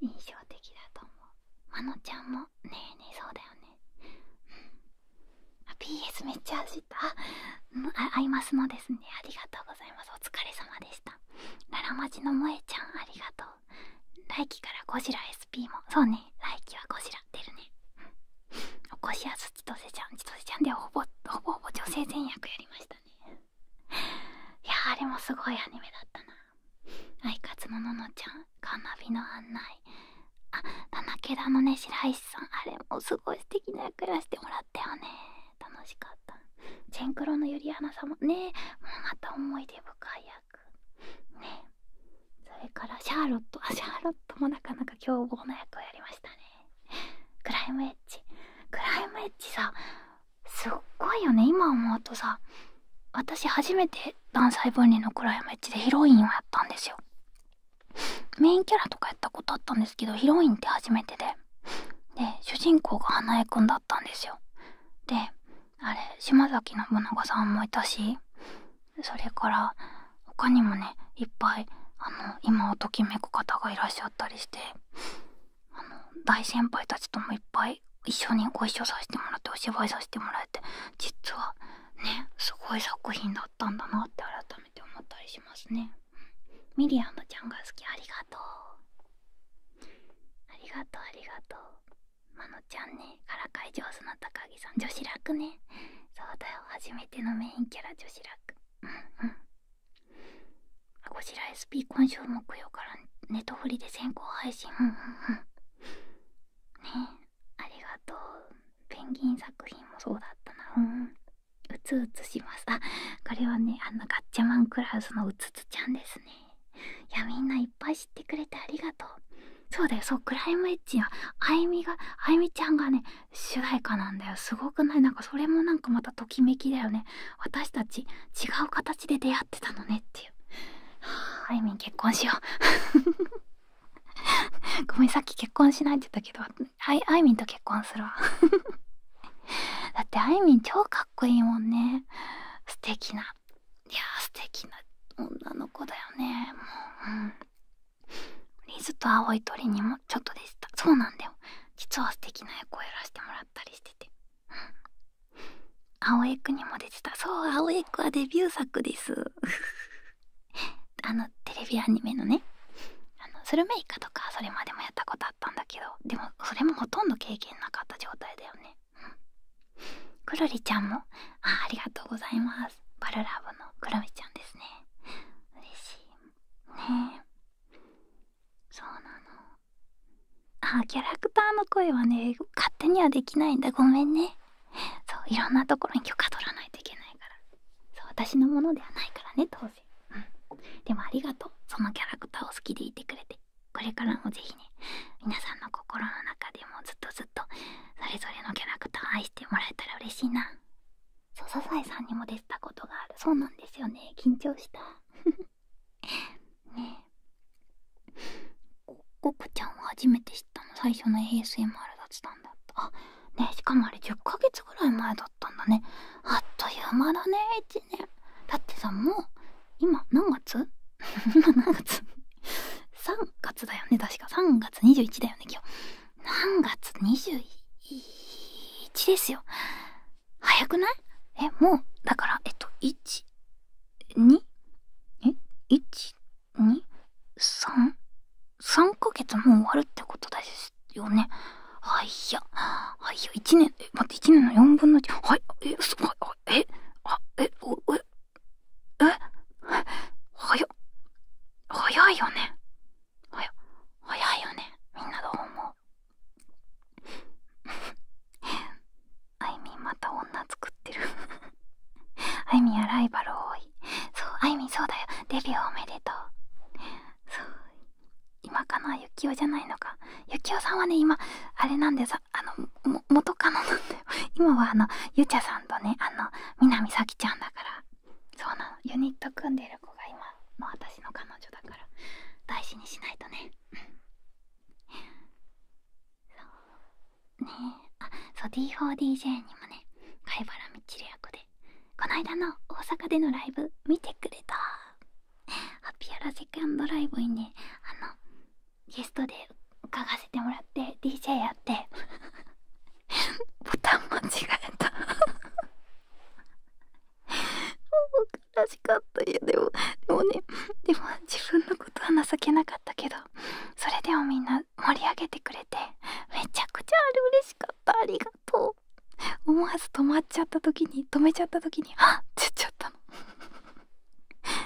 印象的だと思うまのちゃんもねえねえそうだよねあ PS めっちゃ走ったああいますのですねありがとうございますお疲れ様でした奈良町の萌ちゃんありがとう来季からゴジラ SP もそうね来季はゴジラ出るねお こしやす千歳ちゃん千歳ちゃんでほぼほぼほぼ女性全役やりましたねいやあれもすごいアニメだったなあいかつのののちゃんカーナビの案内あ七毛田のね白石さんあれもすごい素敵な役やらせてもらったよね楽しかったチェンクロのゆリアナさんもねもうまた思い出深い役くねそれからシャーロットあシャーロットもなかなか凶暴な役をやりましたねクライムエッジクライムエッジさすっごいよね今思うとさ私初めて男細分離のクライムエッジでヒロインをやったんですよメインキャラとかやったことあったんですけどヒロインって初めてでで主人公が花江くんだったんですよであれ島崎信長さんもいたしそれから他にもねいっぱいあの今をときめく方がいらっしゃったりしてあの大先輩たちともいっぱい一緒にご一緒させてもらってお芝居させてもらえて実はねすごい作品だったんだなって改めて思ったりしますね。ミリアムちゃんが好きありがとうありがとうありがとうまのちゃんねからかい上手な高木さん女子楽ねそうだよ初めてのメインキャラ女子楽うんうんこちら SP 今週木曜からネトフリで先行配信うんうんうんねありがとうペンギン作品もそうだったなうんうつうつしました。これはねあのガッチャマンクラウスのうつつちゃんですねいやみんないっぱい知ってくれてありがとうそうだよそうクライムエッジはあゆみがあゆみちゃんがね主題歌なんだよすごくないなんかそれもなんかまたときめきだよね私たち違う形で出会ってたのねっていうあゆみん結婚しよう ごめんさっき結婚しないって言ったけどあゆみんと結婚するわ だってあゆみん超かっこいいもんね素敵ないやー素敵な女の子だよねもううんリズと青い鳥にもちょっとでしたそうなんだよ実は素敵な役をやらせてもらったりしててうん葵江にも出てたそう青江くはデビュー作です あのテレビアニメのねあのスルメイカとかそれまでもやったことあったんだけどでもそれもほとんど経験なかった状態だよねくるりちゃんもあありがとうございますバルラブのくるみちゃんですね嬉しいねえそうなのあキャラクターの声はね勝手にはできないんだごめんねそういろんなところに許可取らないといけないからそう私のものではないからね当然うんでもありがとうそのキャラクターを好きでいてくれてこれからもぜひね皆さんの心の中でもずっとずっとそれぞれのキャラクター愛してもらえたら嬉しいなそうサザさんにも出てたことがあるそうなんですよね緊張した ねえココちゃんは初めて知ったの最初の ASMR だったんだったあねしかもあれ10ヶ月ぐらい前だったんだねあっという間だね1年だってさもう今何月何 月 ?3 月だよね確か3月21だよね今日何月21ですよ早くないえもうだからえっと12え1233 3ヶ月もう終わるってことですよねはいやはいや1年待って1年の4分の1はいえすごいえあえおええはや、早いよね。はや、早いよね。みんなどう思うあいみんまた女作ってるあいみんはライバル多い。そう、あいみんそうだよ。デビューおめでとう。そう。今かなゆきおじゃないのか。ゆきおさんはね、今、あれなんでさあの元カノなんだよ今はあのゆちゃさんとねあの南咲希ちゃんだからそうなのユニット組んでる子が今の私の彼女だから大事にしないとねそうねえあそう D4DJ にもね貝原みちる役でこの間の大阪でのライブ見てくれたハッピーアラセカンドライブにねあのゲストで伺わせてもらって DJ やってボタン間違えた悲しかったいやでもでもねでも自分のことは情けなかったけどそれでもみんな盛り上げてくれてめちゃくちゃあれ嬉しかったありがとう思わず止まっちゃった時に止めちゃった時にあっって言っちゃったの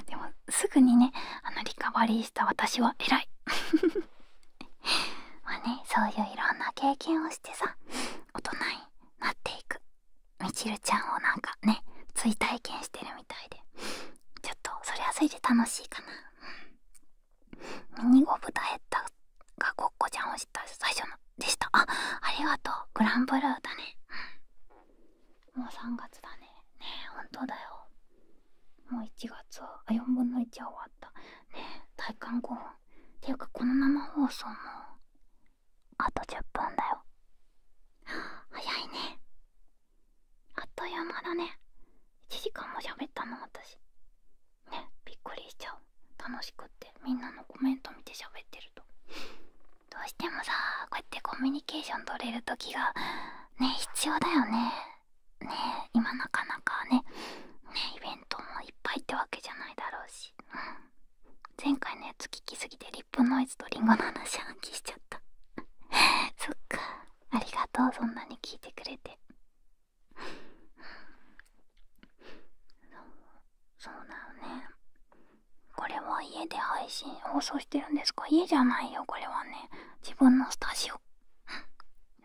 でもすぐにねあのリカバリーした私は偉い まあねそういういろんな経験をしてさ大人になっていくみちるちゃんをなんかね追体験してるみたいでちょっとそれはそれで楽しいかな、うん、ミニゴブダヘッダがごっこちゃんを知った最初のでしたあありがとうグランブルーだね、うん、もう3月だねね本当だよもう1月はあ4分の1は終わったねえ体感5分っていうかこの生放送もあと10分だよ早いねあっという間だね1時間も喋ったの私ねびっくりしちゃう楽しくてみんなのコメント見て喋ってるとどうしてもさこうやってコミュニケーション取れる時がね必要だよねね今なかなかねねイベントもいっぱいってわけじゃないだろうし、うん、前回のやつ聞きすぎてリップノイズとリンゴの話暗記しちゃった そっかありがとうそんなに聞いてくれてそうだよねこれは家で配信放送してるんですか家じゃないよこれはね自分のスタジオ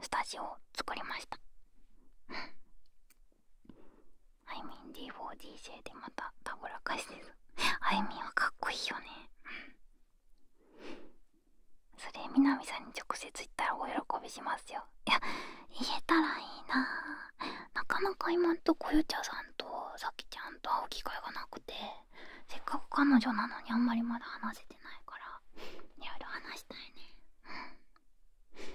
スタジオを作りましたアい、みん D4DJ でまたたぶらかしですあイみンはかっこいいよねそれみなみさんに直接言ったらお喜びしますよいや言えたらいいななかなか今んとこよ。ちゃさんとさきちゃんと会う機会がなくてせっかく彼女なのにあんまりまだ話せてないからいろいろ話したいね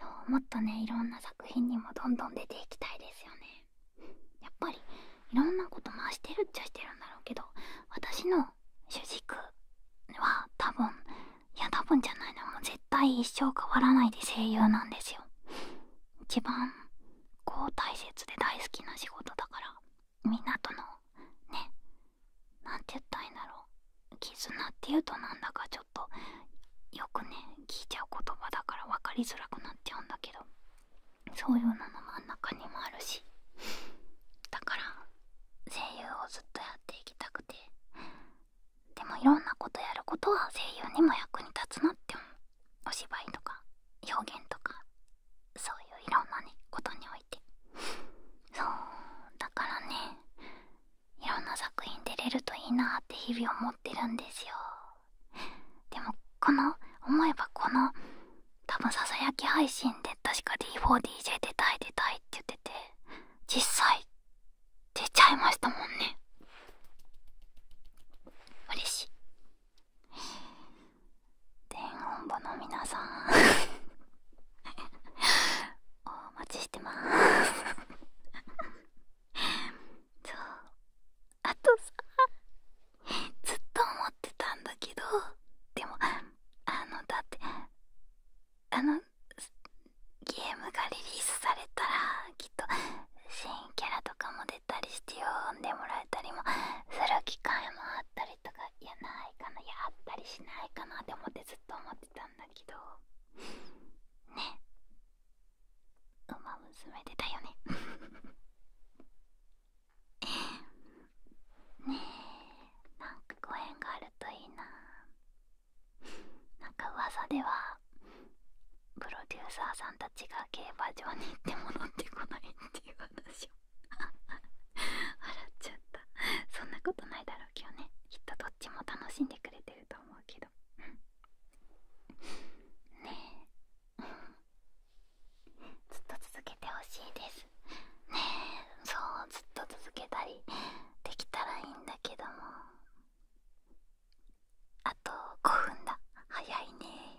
そうもっとねいろんな作品にもどんどん出ていきたいですよねやっぱりいろんなこと回してるっちゃしてるんだろうけど私の主軸は多分いや多分じゃないの、絶対一生変わらないで声優なんですよ一番こう大切で大好きな仕事だからみんなとのねなんて言ったらいいんだろう絆っていうとなんだかちょっとよくね聞いちゃう言葉だから分かりづらくなっちゃうんだけどそういうのの真ん中にもあるしだから声優をずっとやっていきたくてでもいろんなことやることは声優にも役に立つなって思う。お芝居とか表現とかそういういろんなねことにおいてそうだからねいろんな作品出れるといいなって日々思ってるんですよでもこの思えばこの多分ささやき配信で確か D4DJ 出たい出たいって言ってて実際出ちゃいましたもんね嬉しい電音部の皆さん お待ちしてます そうあとさずっと思ってたんだけどでもあのだってあのゲームがリリースされたらきっと新キャラとかもたりしてよ読んでもらえたりもする機会もあったりとかいやないかなやったりしないかなって思ってずっと思ってたんだけどねウマ娘出たよね ねえなんかご縁があるといいななんか噂ではプロデューサーさんたちが競馬場に行って戻ってこないっていう 笑っちゃったそんなことないだろうけどねきっとどっちも楽しんでくれてると思うけど ねえ ずっと続けてほしいですねえそうずっと続けたりできたらいいんだけどもあと5分だ早いね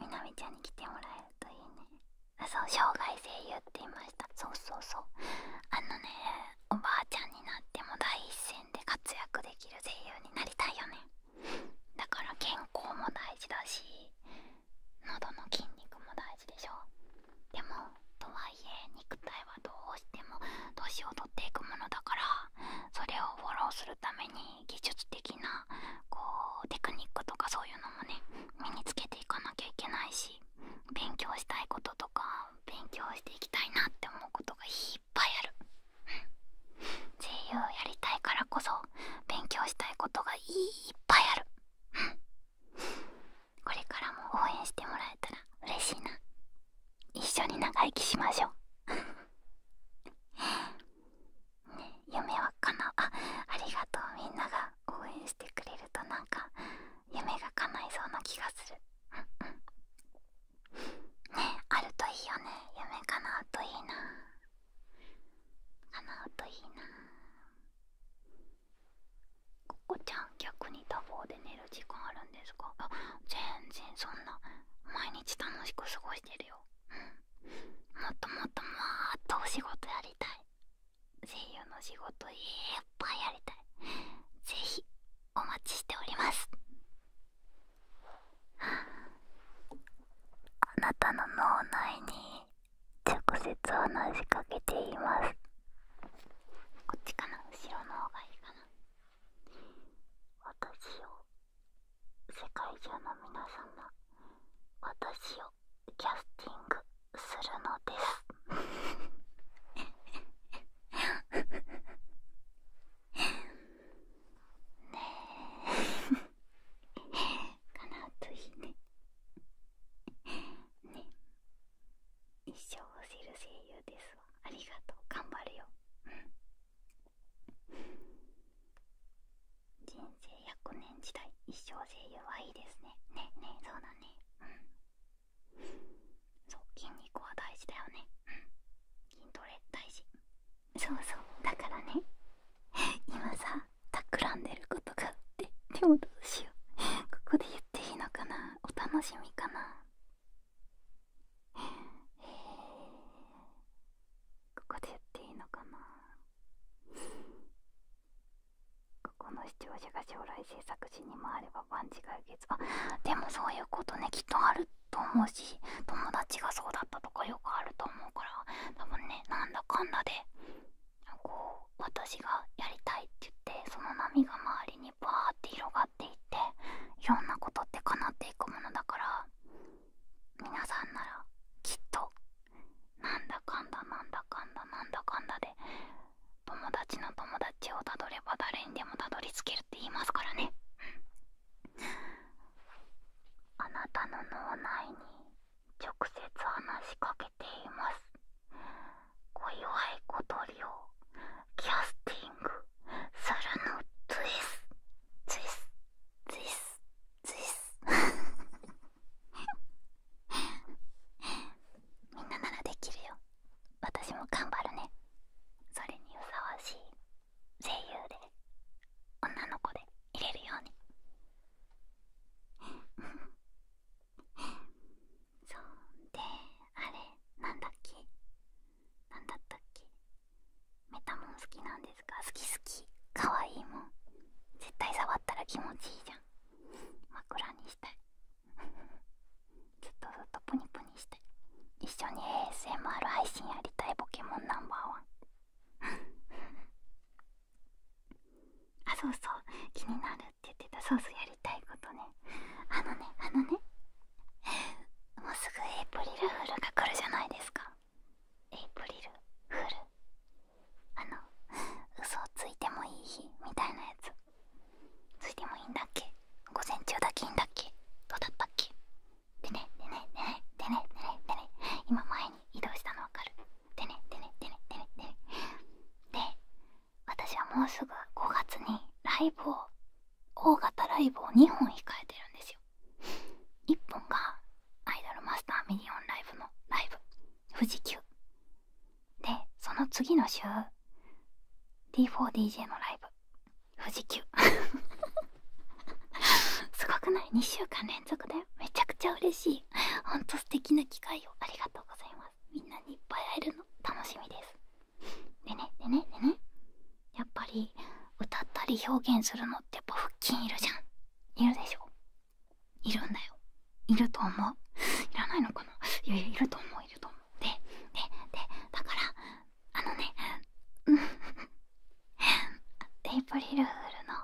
みなみちゃんに来てもらえるといいねあそう生涯声優って言いましたそうそうそうあのねおばあちゃんになっても第一線で活躍できる声優になりたいよねだから健康も大事だし喉の筋肉も大事でしょでもとはいえ肉体はどうしても年を取っていくものだからそれをフォローするために技術的なこうテクニックとかそういうのもね身につけていかなきゃいけないし勉強したいこととか勉強していきたいなって思うことがいっぱいある声優やりたいからこそ勉強したいことがいっぱいあるこれからも応援してもらえたら嬉しいな一緒に長生きしましょうね、夢はかなあありがとうみんなが応援してくれるとなんか夢が叶いそうな気がするうんうんねあるといいよね夢かなうといいなかなうといいなここちゃん逆に多忙で寝る時間あるんですかあ全然そんな毎日楽しく過ごしてるようんもっともっともっとお仕事やりたい声優の仕事いっぱいやりたいぜひお待ちしておりますあなたの脳内に直接話しかけていますこっちかな後ろの方がいいかな私を世界中の皆様私をキャスティングするのですねえかなといいねね一生を知る声優ですありがとう頑張るよ人生100年時代一生声優はいいですねねねそうだねうんそう筋肉は大事だよね筋トレ大事そうそうだからね今さ企んでることがあってでもどうしようここで言っていいのかなお楽しみかなえここで言っていいのかな ここの視聴者が将来制作時に回れば万事解決あでもそういうことねきっとあると思うし友達がそうだったとかよくあると思うから多分ねなんだかんだでこう私がやりたいって言ってその波が周りにバーって広がっていっていろんなことって叶っていくものだから皆さんならきっとなんだかんだなんだかんだなだかんだで友達の友達をたどれば誰にでもたどり着けるって言いますからねあなたの脳内に直接話しかけています小祝い小鳥をキャスティングするのですツイスツイスツイス みんなならできるよ私も頑張るねそれにふさわしい声優で女の子でいれるように そんであれなんだっけなんだったっけメタモン好きなんですか好き好きかわいいもん絶対触ったら気持ちいいじゃん枕にしたいずっとずっとプニプニしたい一緒に ASMR 配信やりたいポケモンナンバーワンあそうそう気になるって言ってたそうそうやりたいことねあのねあのねもうすぐエイプリルフールが来るじゃないですかエイプリルフールあの 嘘をついてもいい日みたいなやつついてもいいんだっけ午前中だけいいんだっけどうだったっけでねでねでねでねでねでね今前に移動したのわかるでねでねでねでねでねで私はもうすぐ5月にライブを大型ライブを2本控えてるんですよ1本がアイドルマスターミリオンライブのライブ富士急でその次の週 D4DJ のライブ富士急 すごくない2週間連続だよめちゃくちゃ嬉しいほんと素敵な機会をありがとうございますみんなにいっぱい会えるの楽しみですでねでねでねやっぱり歌ったり表現するのってやっぱ腹筋いるじゃんいるでしょいるんだよいると思ういらないのかないやいやいると思ういると思うでででだからあのねうん エイプリルールの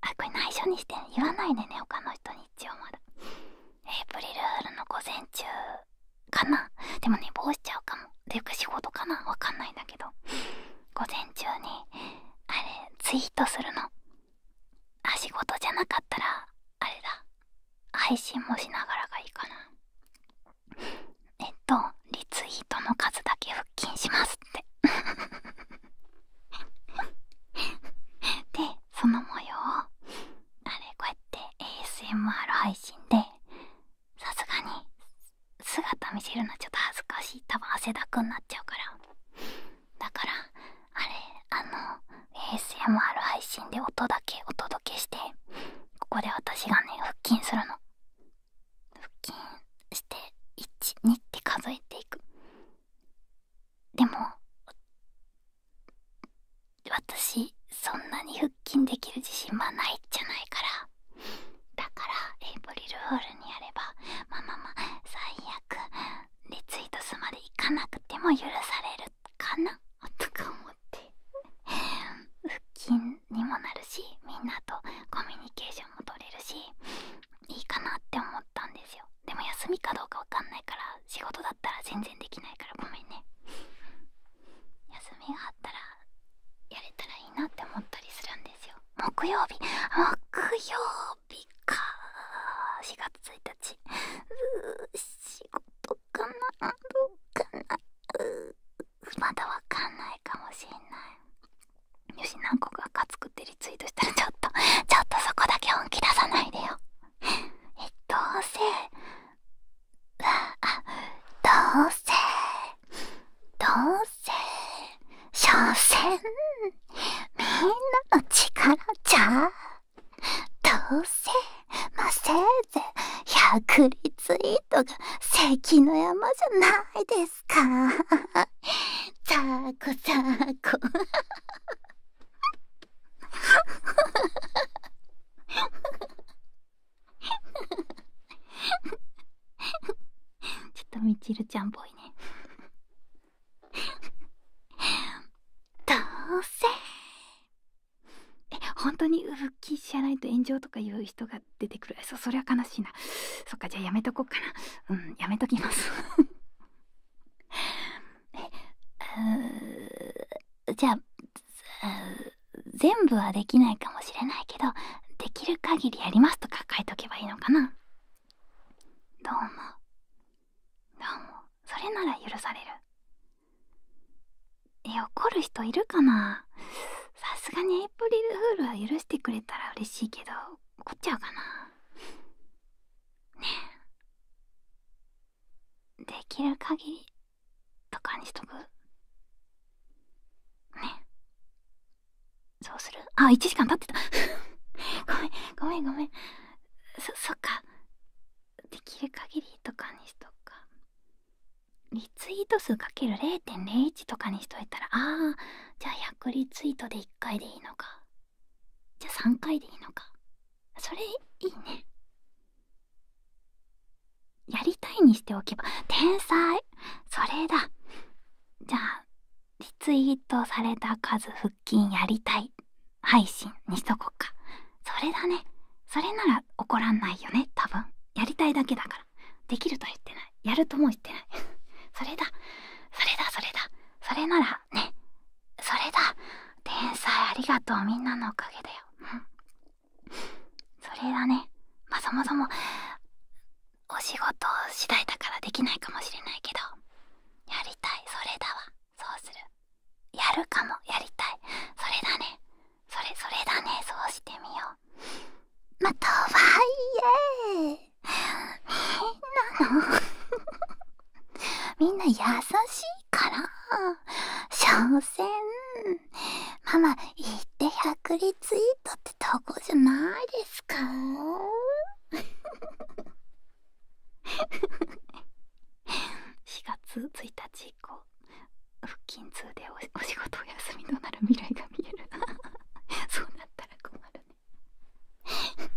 あこれ内緒にして言わないでね他の人に一応まだエイプリルフールの午前中かなでもね帽子ちゃうかもで仕事かなわかんないんだけど午前中にあれツイートするのあ仕事じゃなかったらあれだ配信もしながらがいいかなえっとリツイートの数だけ腹筋しますってでその模様をあれこうやって ASMR 配信でさすがに姿見せるのちょっと恥ずかしい多分汗だくになっちゃうからだからあれあの ASMR 配信で音だけお届けしてここで私がね腹筋するの腹筋して12って数えていくでも私そんなに腹筋できる自信はないじゃないからだからエイプリルフールにやればママま最悪リツイートすまで行かなくても許されるかなとか思って腹筋にもなるしみんなとコミュニケーションも取れるしいいかなって思ったんですよでも休みかどうかわかんないから仕事だったら全然できないからごめんね休みがあったらやれたらいいなって思ったりするんですよ木曜日木曜日か4月1日う仕事かなどうかなうまだわかんないかもしんないよし何個かカツってリツイートしたらちょっとちょっとそこだけ本気出さないでよえどうせわあどうせどうせ…せん所詮みんなの力じゃどうせませいぜ百100リツイートが関の山じゃないですか ザコザコザーコちょっとみちるちゃんっぽいね どうせえ本当に復帰しないと炎上とかいう人が出てくるそそりゃ悲しいなそっかじゃあやめとこうかなうんやめときます じゃあ全部はできないかもしれないけどできる限りやりますとか書いとけばいいのかなどうもどうもそれなら許されるえ怒る人いるかなさすがにエイプリルフールは許してくれたら嬉しいけど怒っちゃうかなねえできる限りとかにしとくねそうするあ、1時間経ってた。ごめん、ごめん、ごめん。そ、そっか。できる限りとかにしとくか。リツイート数かける0.01とかにしといたら、ああ、じゃあ100リツイートで1回でいいのか。じゃあ3回でいいのか。それ、いいね。やりたいにしておけば、天才それだじゃあリツイートされた数腹筋やりたい配信にしとこっかそれだねそれなら怒らんないよね多分やりたいだけだからできるとは言ってないやるとも言ってない それだそれだそれだそれならねそれだ天才ありがとうみんなのおかげだようんそれだねまあそもそもお仕事次第だからできないかもしれないけどやりたいそれだわそうするやるかもやりたいそれだねそれそれだねそうしてみようまあとはいえみんなのみんな優しいから所詮ママ言って百立以とってたおこじゃないですか4月1日以降腹筋痛でおお仕事お休みとなる未来が見える そうなったら困るね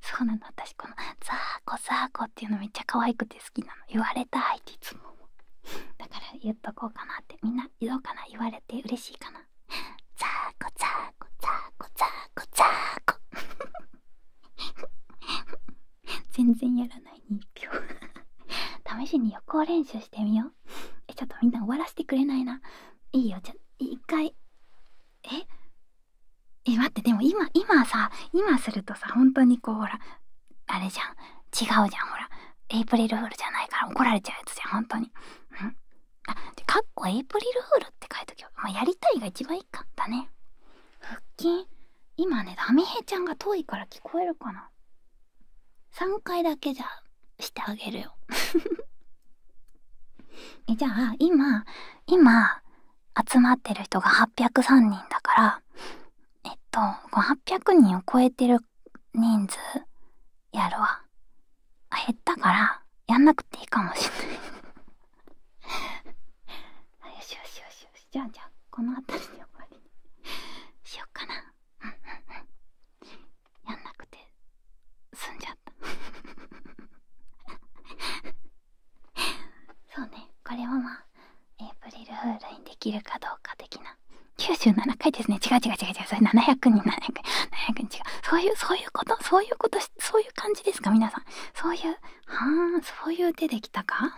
そうなの私この「ザーコザーコ」っていうのめっちゃ可愛くて好きなの言われたいっていつもだから言っとこうかなってみんなどうかな言われて嬉しいかなザーコザーコザーコザーーコ全然やらないに1票試しに予行練習してみようえちょっとみんな終わらせてくれないないいよじゃ一回ええ待ってでも今今さ今するとさ本当にこうほらあれじゃん違うじゃんほらエイプリルフールじゃないから怒られちゃうやつじゃん本当にあでかっこエイプリルフールって書いときは、まあ、やりたいが一番いいかだね腹筋今ねダメヘちゃんが遠いから聞こえるかな3回だけじゃしてあげるよ えじゃあ今今集まってる人が803人だからえっと800人を超えてる人数やるわ。減ったから、やんなくていいかもしれない よしよしよしよし。じゃあじゃあ、この辺りで終わりにしよっかな。うんうんうん。やんなくて、済んじゃった そうね、これはまあ、エイプリルフールにできるかどうか的な97回ですね。違う違う違う違う。それ700人、700人、700人違う。そういう、そういうこと、そういうこと、そういう感じですか、皆さん。そういう、はーそういう手できたか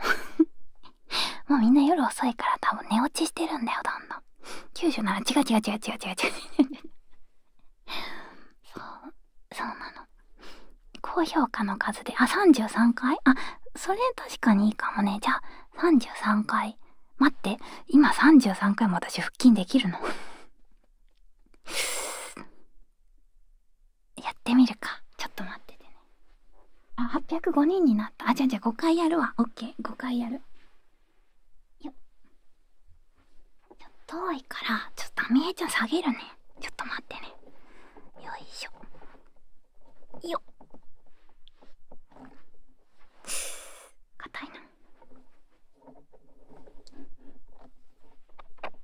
もうみんな夜遅いから多分寝落ちしてるんだよ、どんどん。97、違う違う違う違う違う違う。そう、そうなの。高評価の数で、あ、33回あ、それ確かにいいかもね。じゃあ、33回待って今33回も私腹筋できるの やってみるかちょっと待っててねあ805人になったあじゃあじゃあ5回やるわ OK5 回やるよっ遠いからちょっとあみえちゃん下げるねちょっと待ってねよいしょよっ硬いなよっ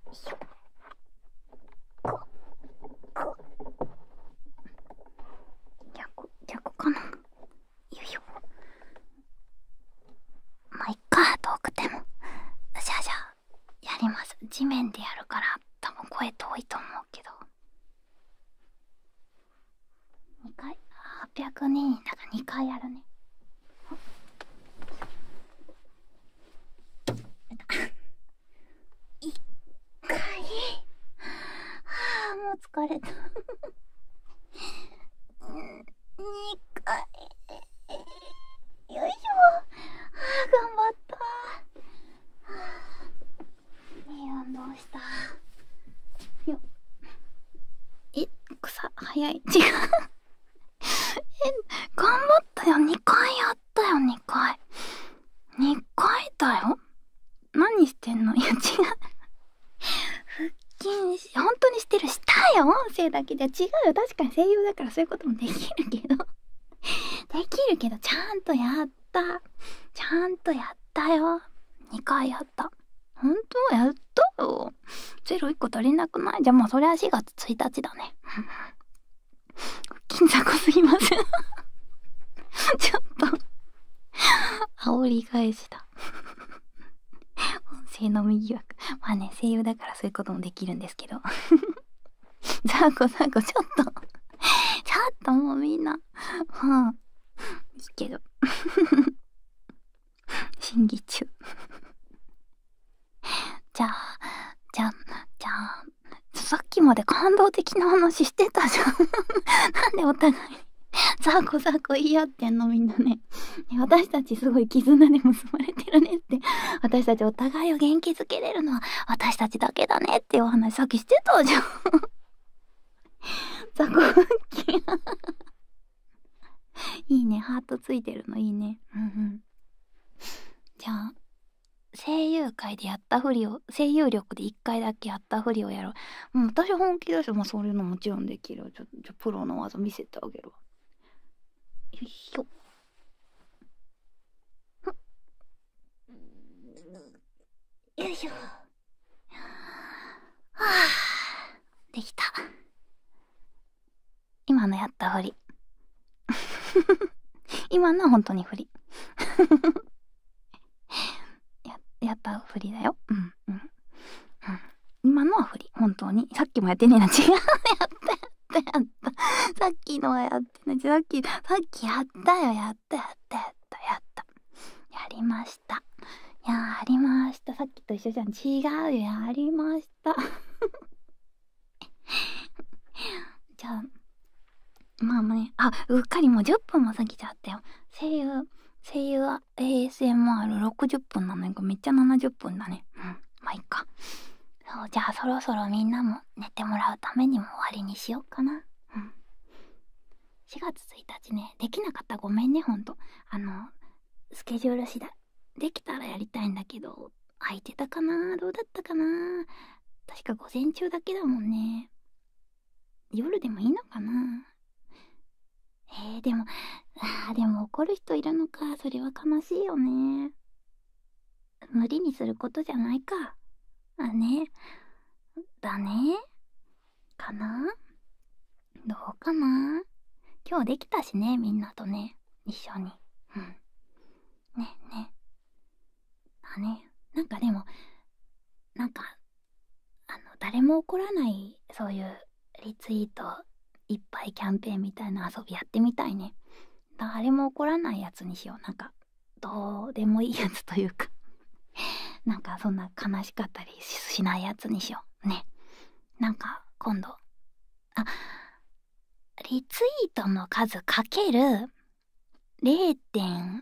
ここ逆逆かなよいしょまあいっか遠くてもじゃあじゃあやります地面でやるから多分声遠いと思うけど。二回802人だから2回やるね一回はあもう疲れた二回よいしょああ頑張った運動したよっえ草早い違う え頑張ったよ2回やったよ2回2回だよ何してんのいや違う腹筋し本当にしてるしたよ音声だけじゃ違うよ確かに声優だからそういうこともできるけどできるけどちゃんとやったちゃんとやったよ2回やったほんとやったよ0 1個足りなくないじゃあもうそれは4月1日だね 金ざこすぎません ちょっと煽り返しだ音声の右疑まあね声優だからそういうこともできるんですけどザーコザーコちょっとちょっともうみんなはあいいけど 審議中じゃあじゃあじゃあさっきまで感動的な話してたじゃん なんでお互いザコザコ言い合ってんのみんなね私たちすごい絆で結ばれてるねって私たちお互いを元気づけれるのは私たちだけだねっていうお話さっきしてたじゃん 雑魚腹筋いいねハートついてるのいいねうんうんじゃあ声優界でやったふりを声優力で1回だけやったふりをやろう私本気だし、そういうのもちろんできるプロの技見せてあげるわよいしょんよいしょはあできた今のやったふり 今のは本当にふり ややったふりだようんうん、今のはふり本当にさっきもやってねえな違うやったやったさっきのはやってないさっきさっきやったよやった。やったやったやりましたやりましたさっきと一緒じゃん違うやりました じゃあまあねあうっかりもう10分も過ぎちゃったよ声優声優は ASMR60 分なのにめっちゃ70分だねうんまあいっかそうじゃあそろそろみんなも寝てもらうためにも終わりにしようかなうん4月1日ねできなかったごめんねほんとあのスケジュール次第できたらやりたいんだけど空いてたかなどうだったかな確か午前中だけだもんね夜でもいいのかなえでもあでも怒る人いるのかそれは悲しいよね無理にすることじゃないかあねだねかなどうかな今日できたしね、みんなとね、一緒に。うん。ね、ね。あね、なんかでも、なんか、あの、誰も怒らない、そういうリツイートいっぱいキャンペーンみたいな遊びやってみたいね。誰も怒らないやつにしよう。なんか、どうでもいいやつというかなんかそんな悲しかったりしないやつにしようねなんか今度あリツイートの数かける0.1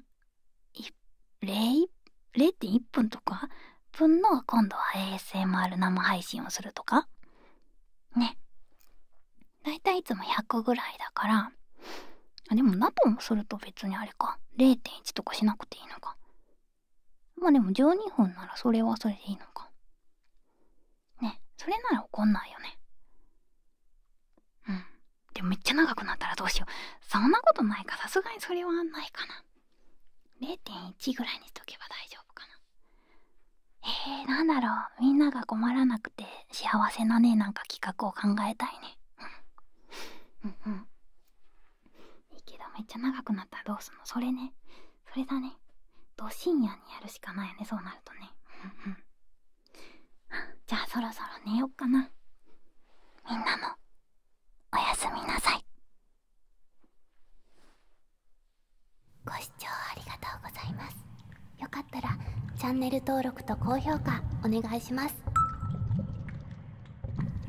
1分とか分の今度は ASMR 生配信をするとかねだいたいいつも100ぐらいだからあ、でもナトンすると別にあれか。0.1とかしなくていいのか。まあでも12分ならそれはそれでいいのか。ね、それなら怒んないよね。うん。でもめっちゃ長くなったらどうしよう。そんなことないか。さすがにそれはないかな。0.1ぐらいにしとけば大丈夫かな。えー、なんだろう。みんなが困らなくて幸せなね、なんか企画を考えたいね。うん。うんうん。けどめっちゃ長くなったらどうすんのそれねそれだねど深夜にやるしかないよねそうなるとねうんうん じゃあそろそろ寝よっかなみんなもおやすみなさいご視聴ありがとうございますよかったらチャンネル登録と高評価お願いします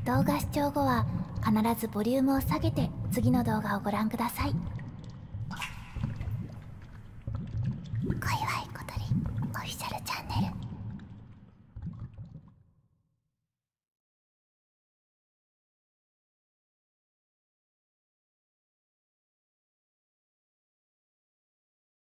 動画視聴後は必ずボリュームを下げて次の動画をご覧ください小祝小鳥オフィシャルチャンネル